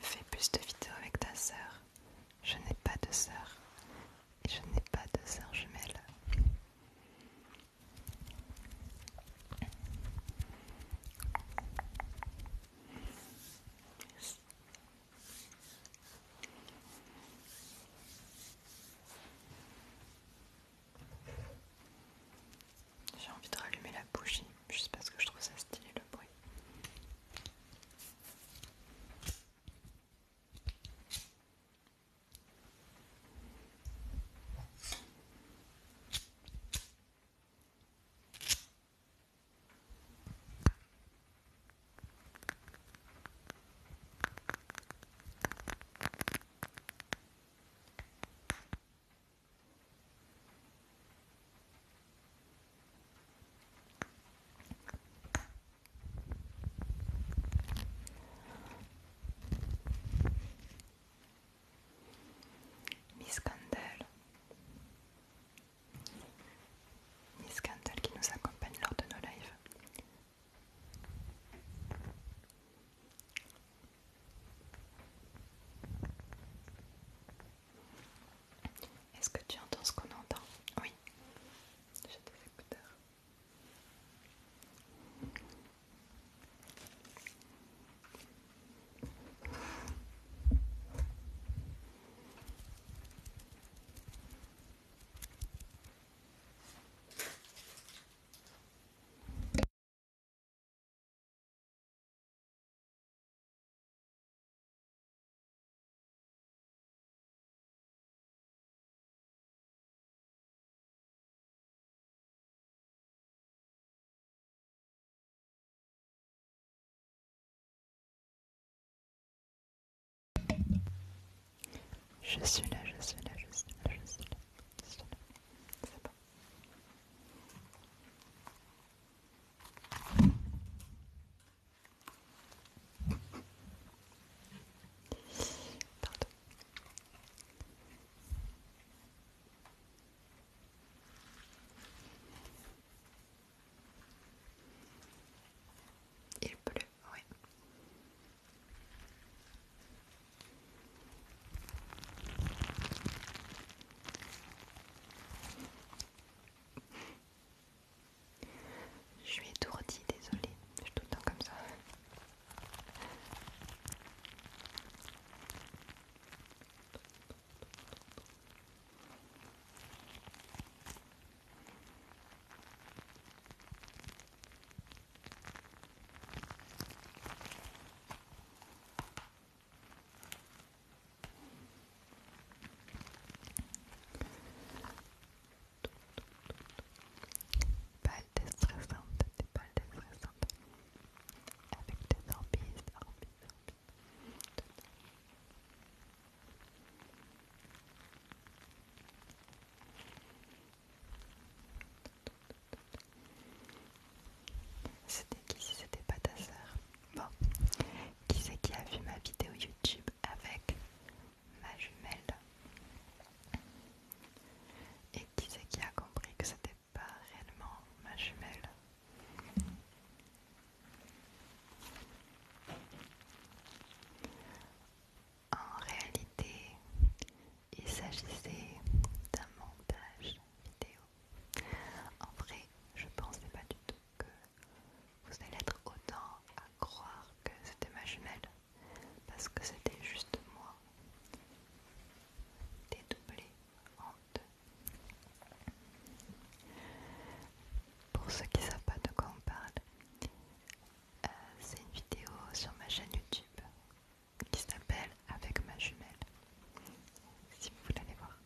Fais plus de vidéos avec ta sœur. Je n'ai pas de sœur. je n'ai pas de sœur jumelle. J'ai envie de rallumer la bougie, juste parce que je trouve ça stylé le bruit. Miss Candel, Miss Candel qui nous accompagne lors de nos lives. Est-ce que tu entends ce qu'on entend Oui. J'ai des écouteurs. Je suis là, je suis là, je suis là, je suis là, je suis là. C'est bon. Pardon. Il pleut, oui. Je suis étourdie, désolée, je tout temps comme ça. Balle déstressante, des de hein. hein. avec des orbites, des orbites. C'était qui si c'était pas ta sœur Bon, qui c'est qui a vu ma vidéo YouTube avec ma jumelle Et qui c'est qui a compris que c'était pas réellement ma jumelle En réalité, il s'agissait d'un montage vidéo. En vrai, je pensais pas du tout que vous allez être autant à croire que c'était ma jumelle, parce que c'était juste moi dédoublé en deux. Pour ceux qui savent pas de quoi on parle, euh, c'est une vidéo sur ma chaîne YouTube qui s'appelle Avec ma jumelle. Si vous voulez aller voir.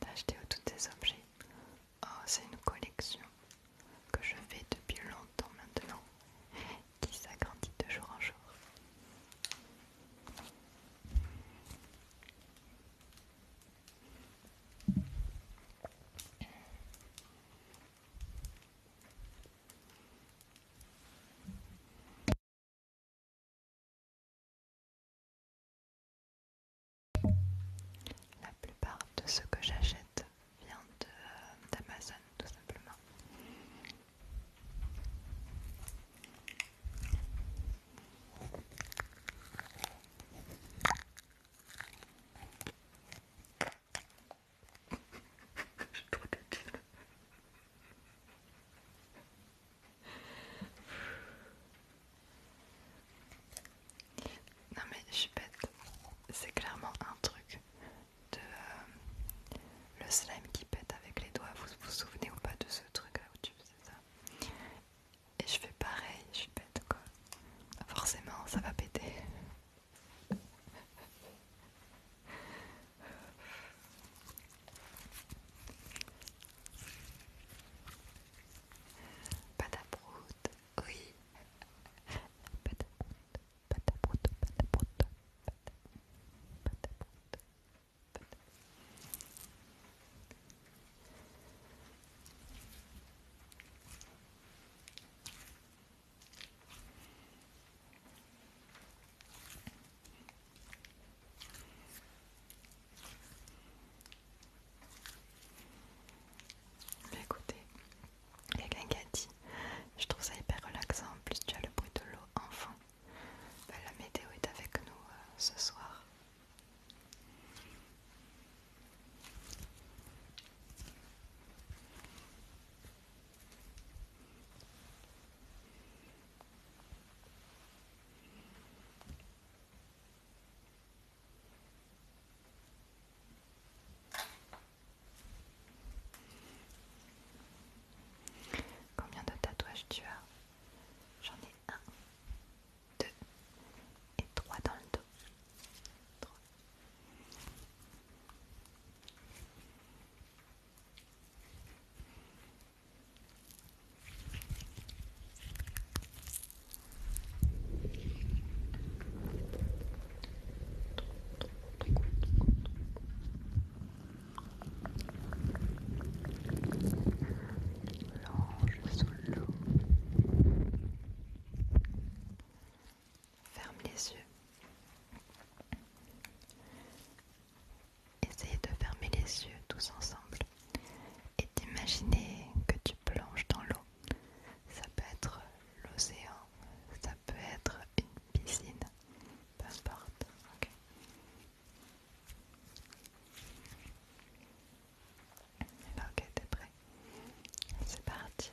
D'acheter tous ces objets. Oh, c'est une collection que je fais depuis longtemps maintenant, qui s'agrandit de jour en jour. La plupart de ce que j'achète vient euh, d'Amazon tout simplement. Je Non mais je pète, C'est clairement un truc de euh, le slime qui pète avec les doigts. Vous vous souvenez ou pas de ce truc là où tu ça Et je fais pareil, je pète quoi. Forcément, ça va péter. Pataproute, oui. Pataproute, pataproute, pataproute, pataproute, pataproute. Écoutez, il y a quelqu'un qui a dit Je trouve ça hyper relaxant. En plus, tu as le bruit de l'eau enfin, bah, la météo est avec nous euh, ce soir. Combien de tatouages tu as J'en ai un, deux et trois dans le dos. L'ange sous l'eau ferme les yeux. Essayez de fermer les yeux tous ensemble et d'imaginer que tu plonges dans l'eau. Ça peut être l'océan, ça peut être une piscine, peu importe. ok, eh ben, t'es prêt C'est parti.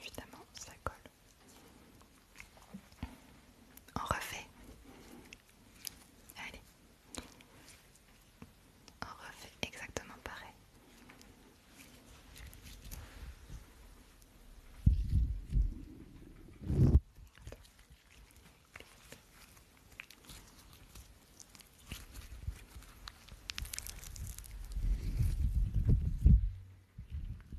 Évidemment, ça colle. On refait. Allez. On refait exactement pareil.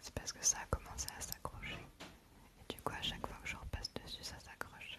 c'est parce que ça a commencé à s'accrocher. Et du coup, à chaque fois que je repasse dessus, ça s'accroche.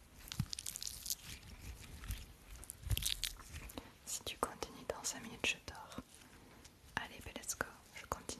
Si tu continues dans 5 minutes, je dors. Allez, let's go, je continue.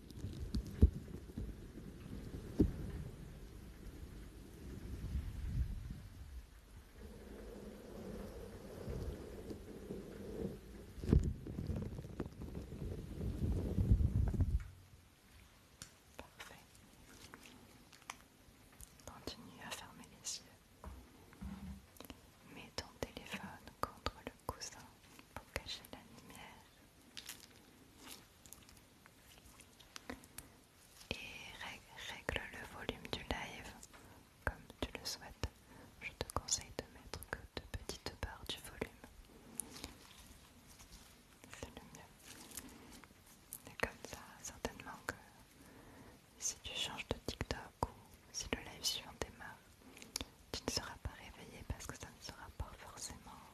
Parfait. Continue à fermer les yeux. Mets ton téléphone contre le coussin pour cacher la lumière et règle le volume du live comme tu le souhaites. Je te conseille de mettre que de petites barres du volume. C'est le mieux. Et comme ça, certainement que si tu changes de TikTok ou si le live suivant démarre, tu ne seras pas réveillé parce que ça ne sera pas forcément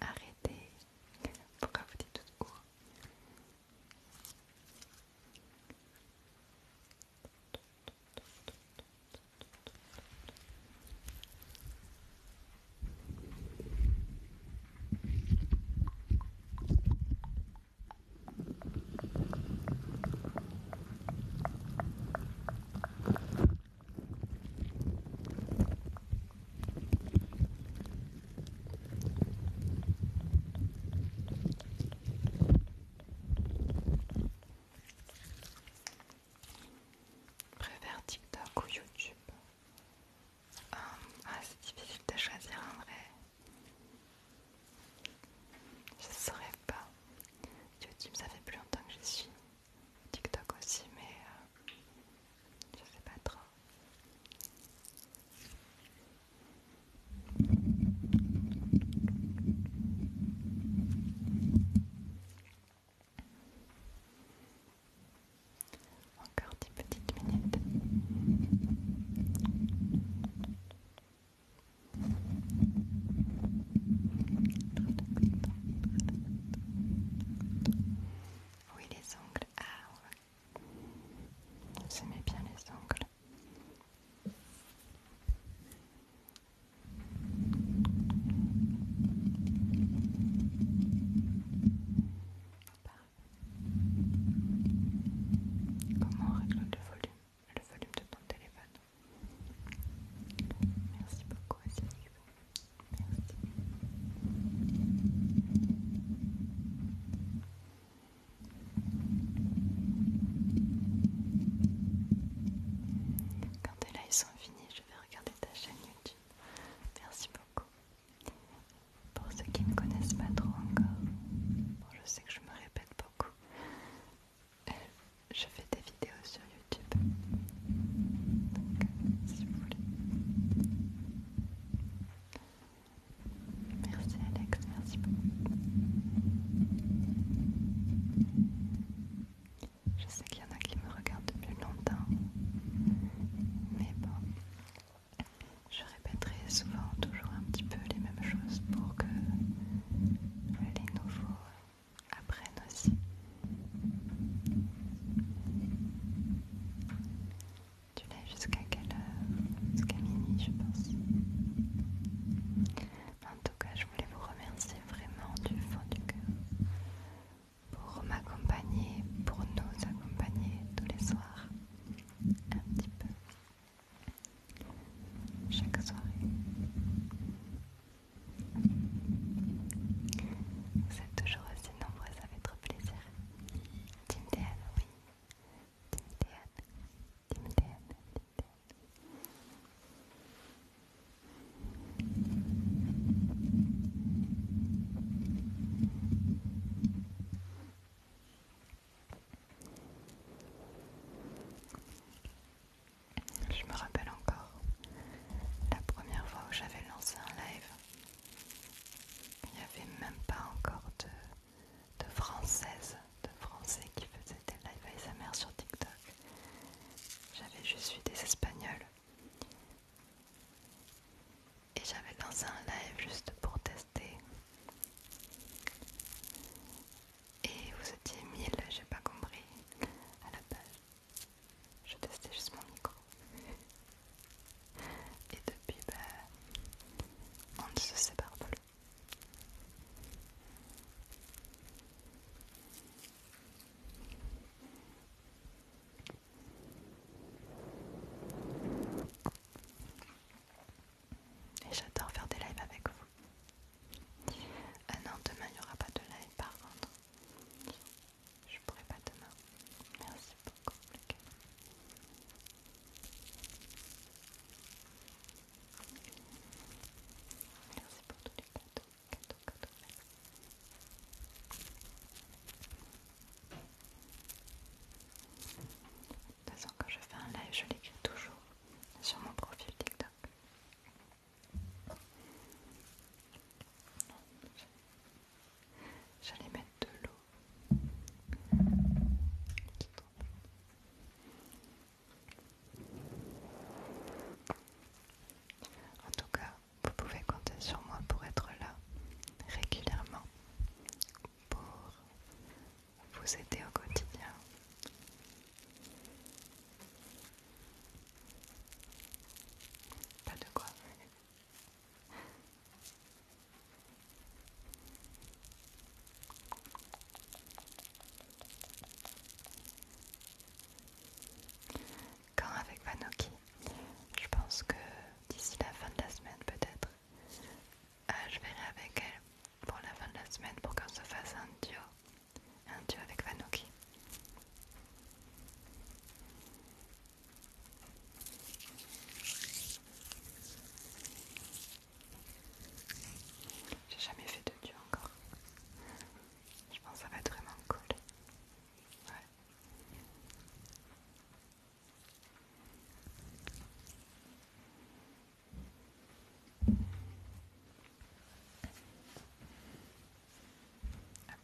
Arrêtez. Pourquoi vous dites tout court Préfère TikTok ou YouTube euh, ah, c'est difficile de choisir un vrai. Je saurais pas. YouTube, ça fait plus longtemps que je suis. TikTok aussi, mais euh, je sais pas trop. Encore dix petites minutes. Oui, les ongles. Ah, on Vous bien les ongles. Comment on règle le volume Le volume de ton téléphone. Merci beaucoup, Merci. Quand tes lives sont finis, je vais regarder ta chaîne YouTube. Merci beaucoup. Pour ceux qui ne connaissent pas trop encore, je sais que je me répète beaucoup, euh, je fais des vidéos sur YouTube. Donc, euh, si vous voulez. Merci Alex, merci beaucoup. Je sais qu'il y en a qui me regardent depuis longtemps, mais bon, je répéterai souvent toujours un petit peu les mêmes choses pour que les nouveaux apprennent aussi. Tu l'as jusqu'à quelle heure Jusqu'à minuit, je pense. En tout cas, je voulais vous remercier vraiment du fond du cœur pour m'accompagner, pour nous accompagner tous les soirs un petit peu chaque soirée. Vous êtes toujours aussi nombreux, ça fait trop plaisir. oui. Je me rappelle encore la première fois où j'avais lancé un live. Il n'y avait même pas encore de, françaises, de français qui faisaient des lives ASMR sur TikTok. J'avais juste vu des espagnols et j'avais lancé un live juste pour tester. Et vous étiez 1000, j'ai pas compris à la base. Je testais juste mon micro. Et depuis, bah, on ne se sépare plus. Et j'adore faire des lives avec vous. Ah non, demain il n'y aura pas de live par contre. Je pourrai pas demain. Merci beaucoup, Merci pour tous les cadeaux, cadeaux, cadeaux. De toute façon, quand je fais un live, je l'écris toujours sur mon profil TikTok. J'allais mettre de l'eau. En tout cas, vous pouvez compter sur moi pour être là régulièrement pour vous aider au quotidien. Pas de quoi. Quand avec Vanoki, je pense que d'ici la fin de la semaine peut-être, je euh, je verrai avec elle pour la fin de la semaine pour qu'on se fasse un duo. Un duo avec Vanoki. J'ai jamais fait de duo encore. Je pense que ça va être vraiment cool. Ouais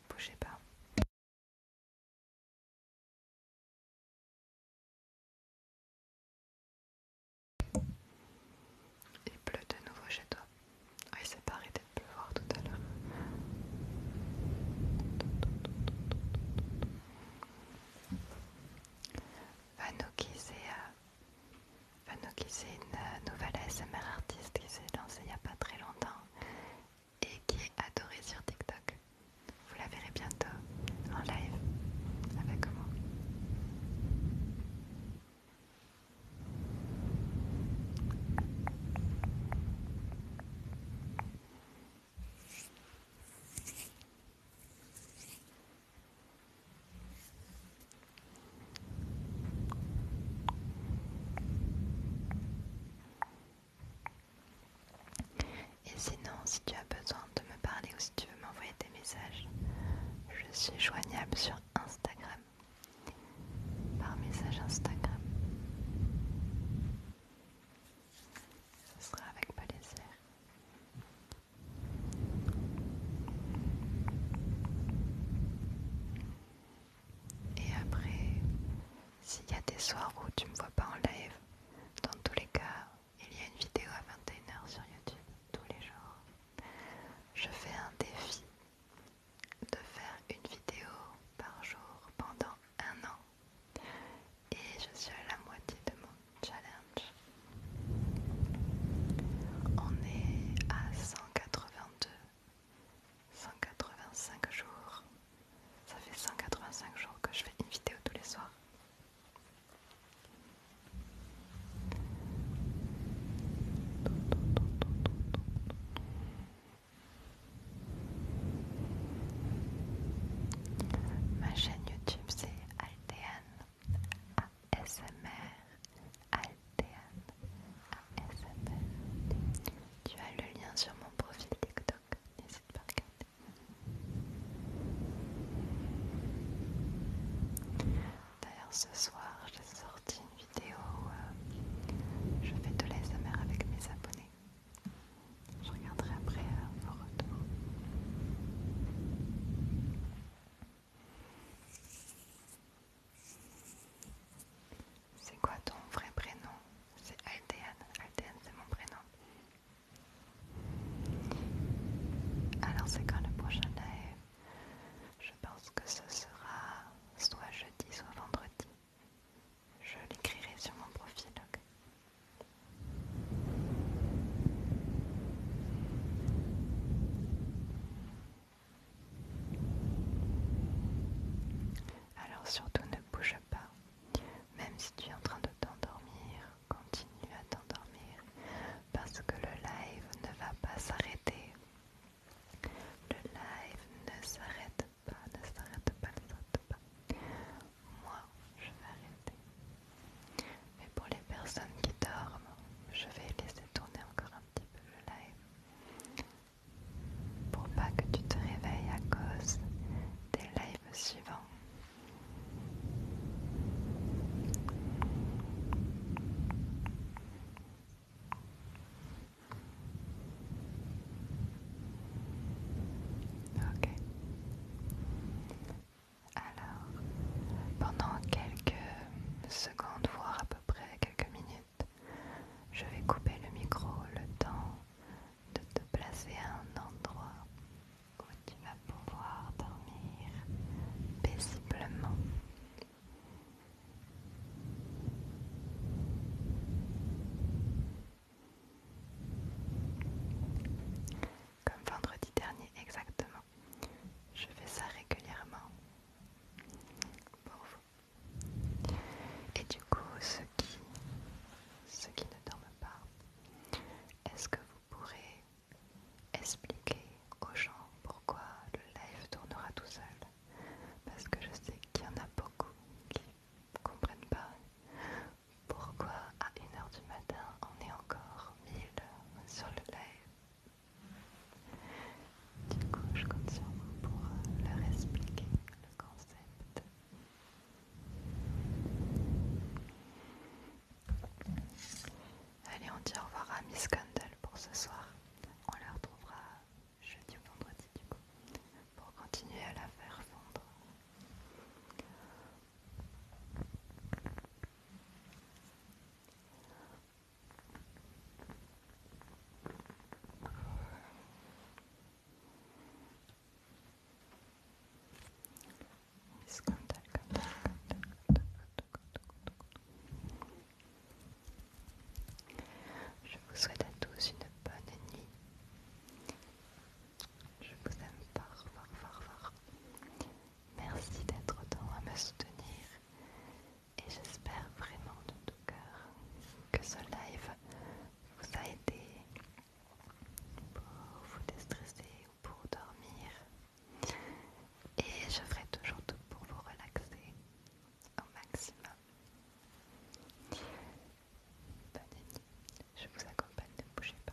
bougez pas. Il pleut de nouveau chez toi. Oui, ah, ça pas arrêté de pleuvoir tout à l'heure. Vanouki, c'est euh, une euh, nouvelle ASMR artiste qui s'est lancée il n'y a pas très longtemps et qui est adorée sur TikTok. Vous la verrez bientôt en live avec moi. Et sinon, si tu as besoin de me parler ou si tu veux m'envoyer des messages, je suis joignable sur Instagram, par message Instagram. Ce sera avec plaisir. Et après, s'il y a des soirs où tu me vois pas en live, dans tous les cas, il y a une vidéo à 21h sur YouTube tous les jours. Je fais un défi de faire une vidéo par jour pendant un an et je suis à la moitié de mon challenge. On est à 182, 185 jours. Ça fait 185 jours que je fais une vidéo tous les soirs. Ma chaîne YouTube c'est Altean ASMR ASMR Tu as le lien sur mon profil TikTok, n'hésite pas à regarder D'ailleurs ce soir j'ai sorti une vidéo où euh, je fais de l'ASMR avec mes abonnés je regarderai après le euh, retour. C'est quoi ton vrai prénom C'est Altéane. Altéane, c'est mon prénom. Alors, c'est quand le prochain live Je pense que ce sera soit jeudi, soit vendredi. Je l'écrirai sur mon profil. Alors surtout ne bouge pas, même si tu es en train de t'endormir, continue à t'endormir parce que le live ne va pas s'arrêter. Le live ne s'arrête pas, ne s'arrête pas, ne s'arrête pas moi, je vais arrêter. Mais pour les personnes qui dorment, je vais laisser tourner encore un petit peu le live. Pour pas que tu te réveilles à cause des lives suivants. Ok. Alors, pendant quelques secondes, voire à peu près quelques minutes, je vais couper le micro le temps de te placer à un endroit où tu vas pouvoir dormir paisiblement. Comme vendredi dernier exactement. Je fais ça régulièrement pour vous. Et du coup, ceux qui, qui ne dorment pas, est-ce que vous pourrez expliquer aux gens pourquoi le live tournera tout seul Parce que je sais qu'il y en a beaucoup qui ne comprennent pas pourquoi à 1h du matin on est encore 1000 sur le live Du coup je compte sur vous pour euh, leur expliquer le concept. Allez on dit au revoir à Miss Candle pour ce soir. On la retrouvera jeudi ou vendredi du coup pour continuer à la faire fondre. Je vous souhaite à tous une bonne nuit je vous aime fort, fort, fort, fort. Merci d'être autant à me soutenir. Et j'espère vraiment de tout cœur que ce live vous a aidé pour vous déstresser ou pour dormir. Et je ferai toujours tout pour vous relaxer au maximum. Bonne Je vous accompagne, ne bougez pas.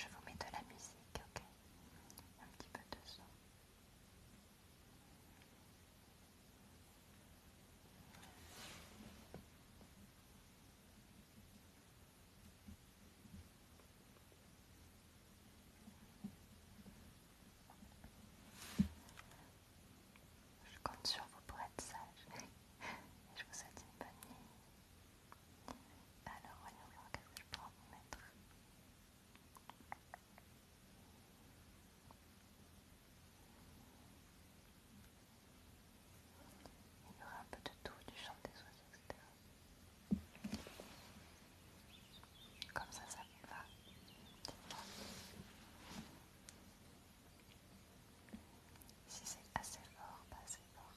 Je vous mets de la musique, ok Un petit peu de son. Je compte sur vous pour être sage je vous souhaite une bonne nuit. Alors voyons voir quest que je peux vous mettre. Il y aura un peu de tout, du chant des oiseaux, etc. Comme ça, ça va. Si c'est assez fort, pas assez fort.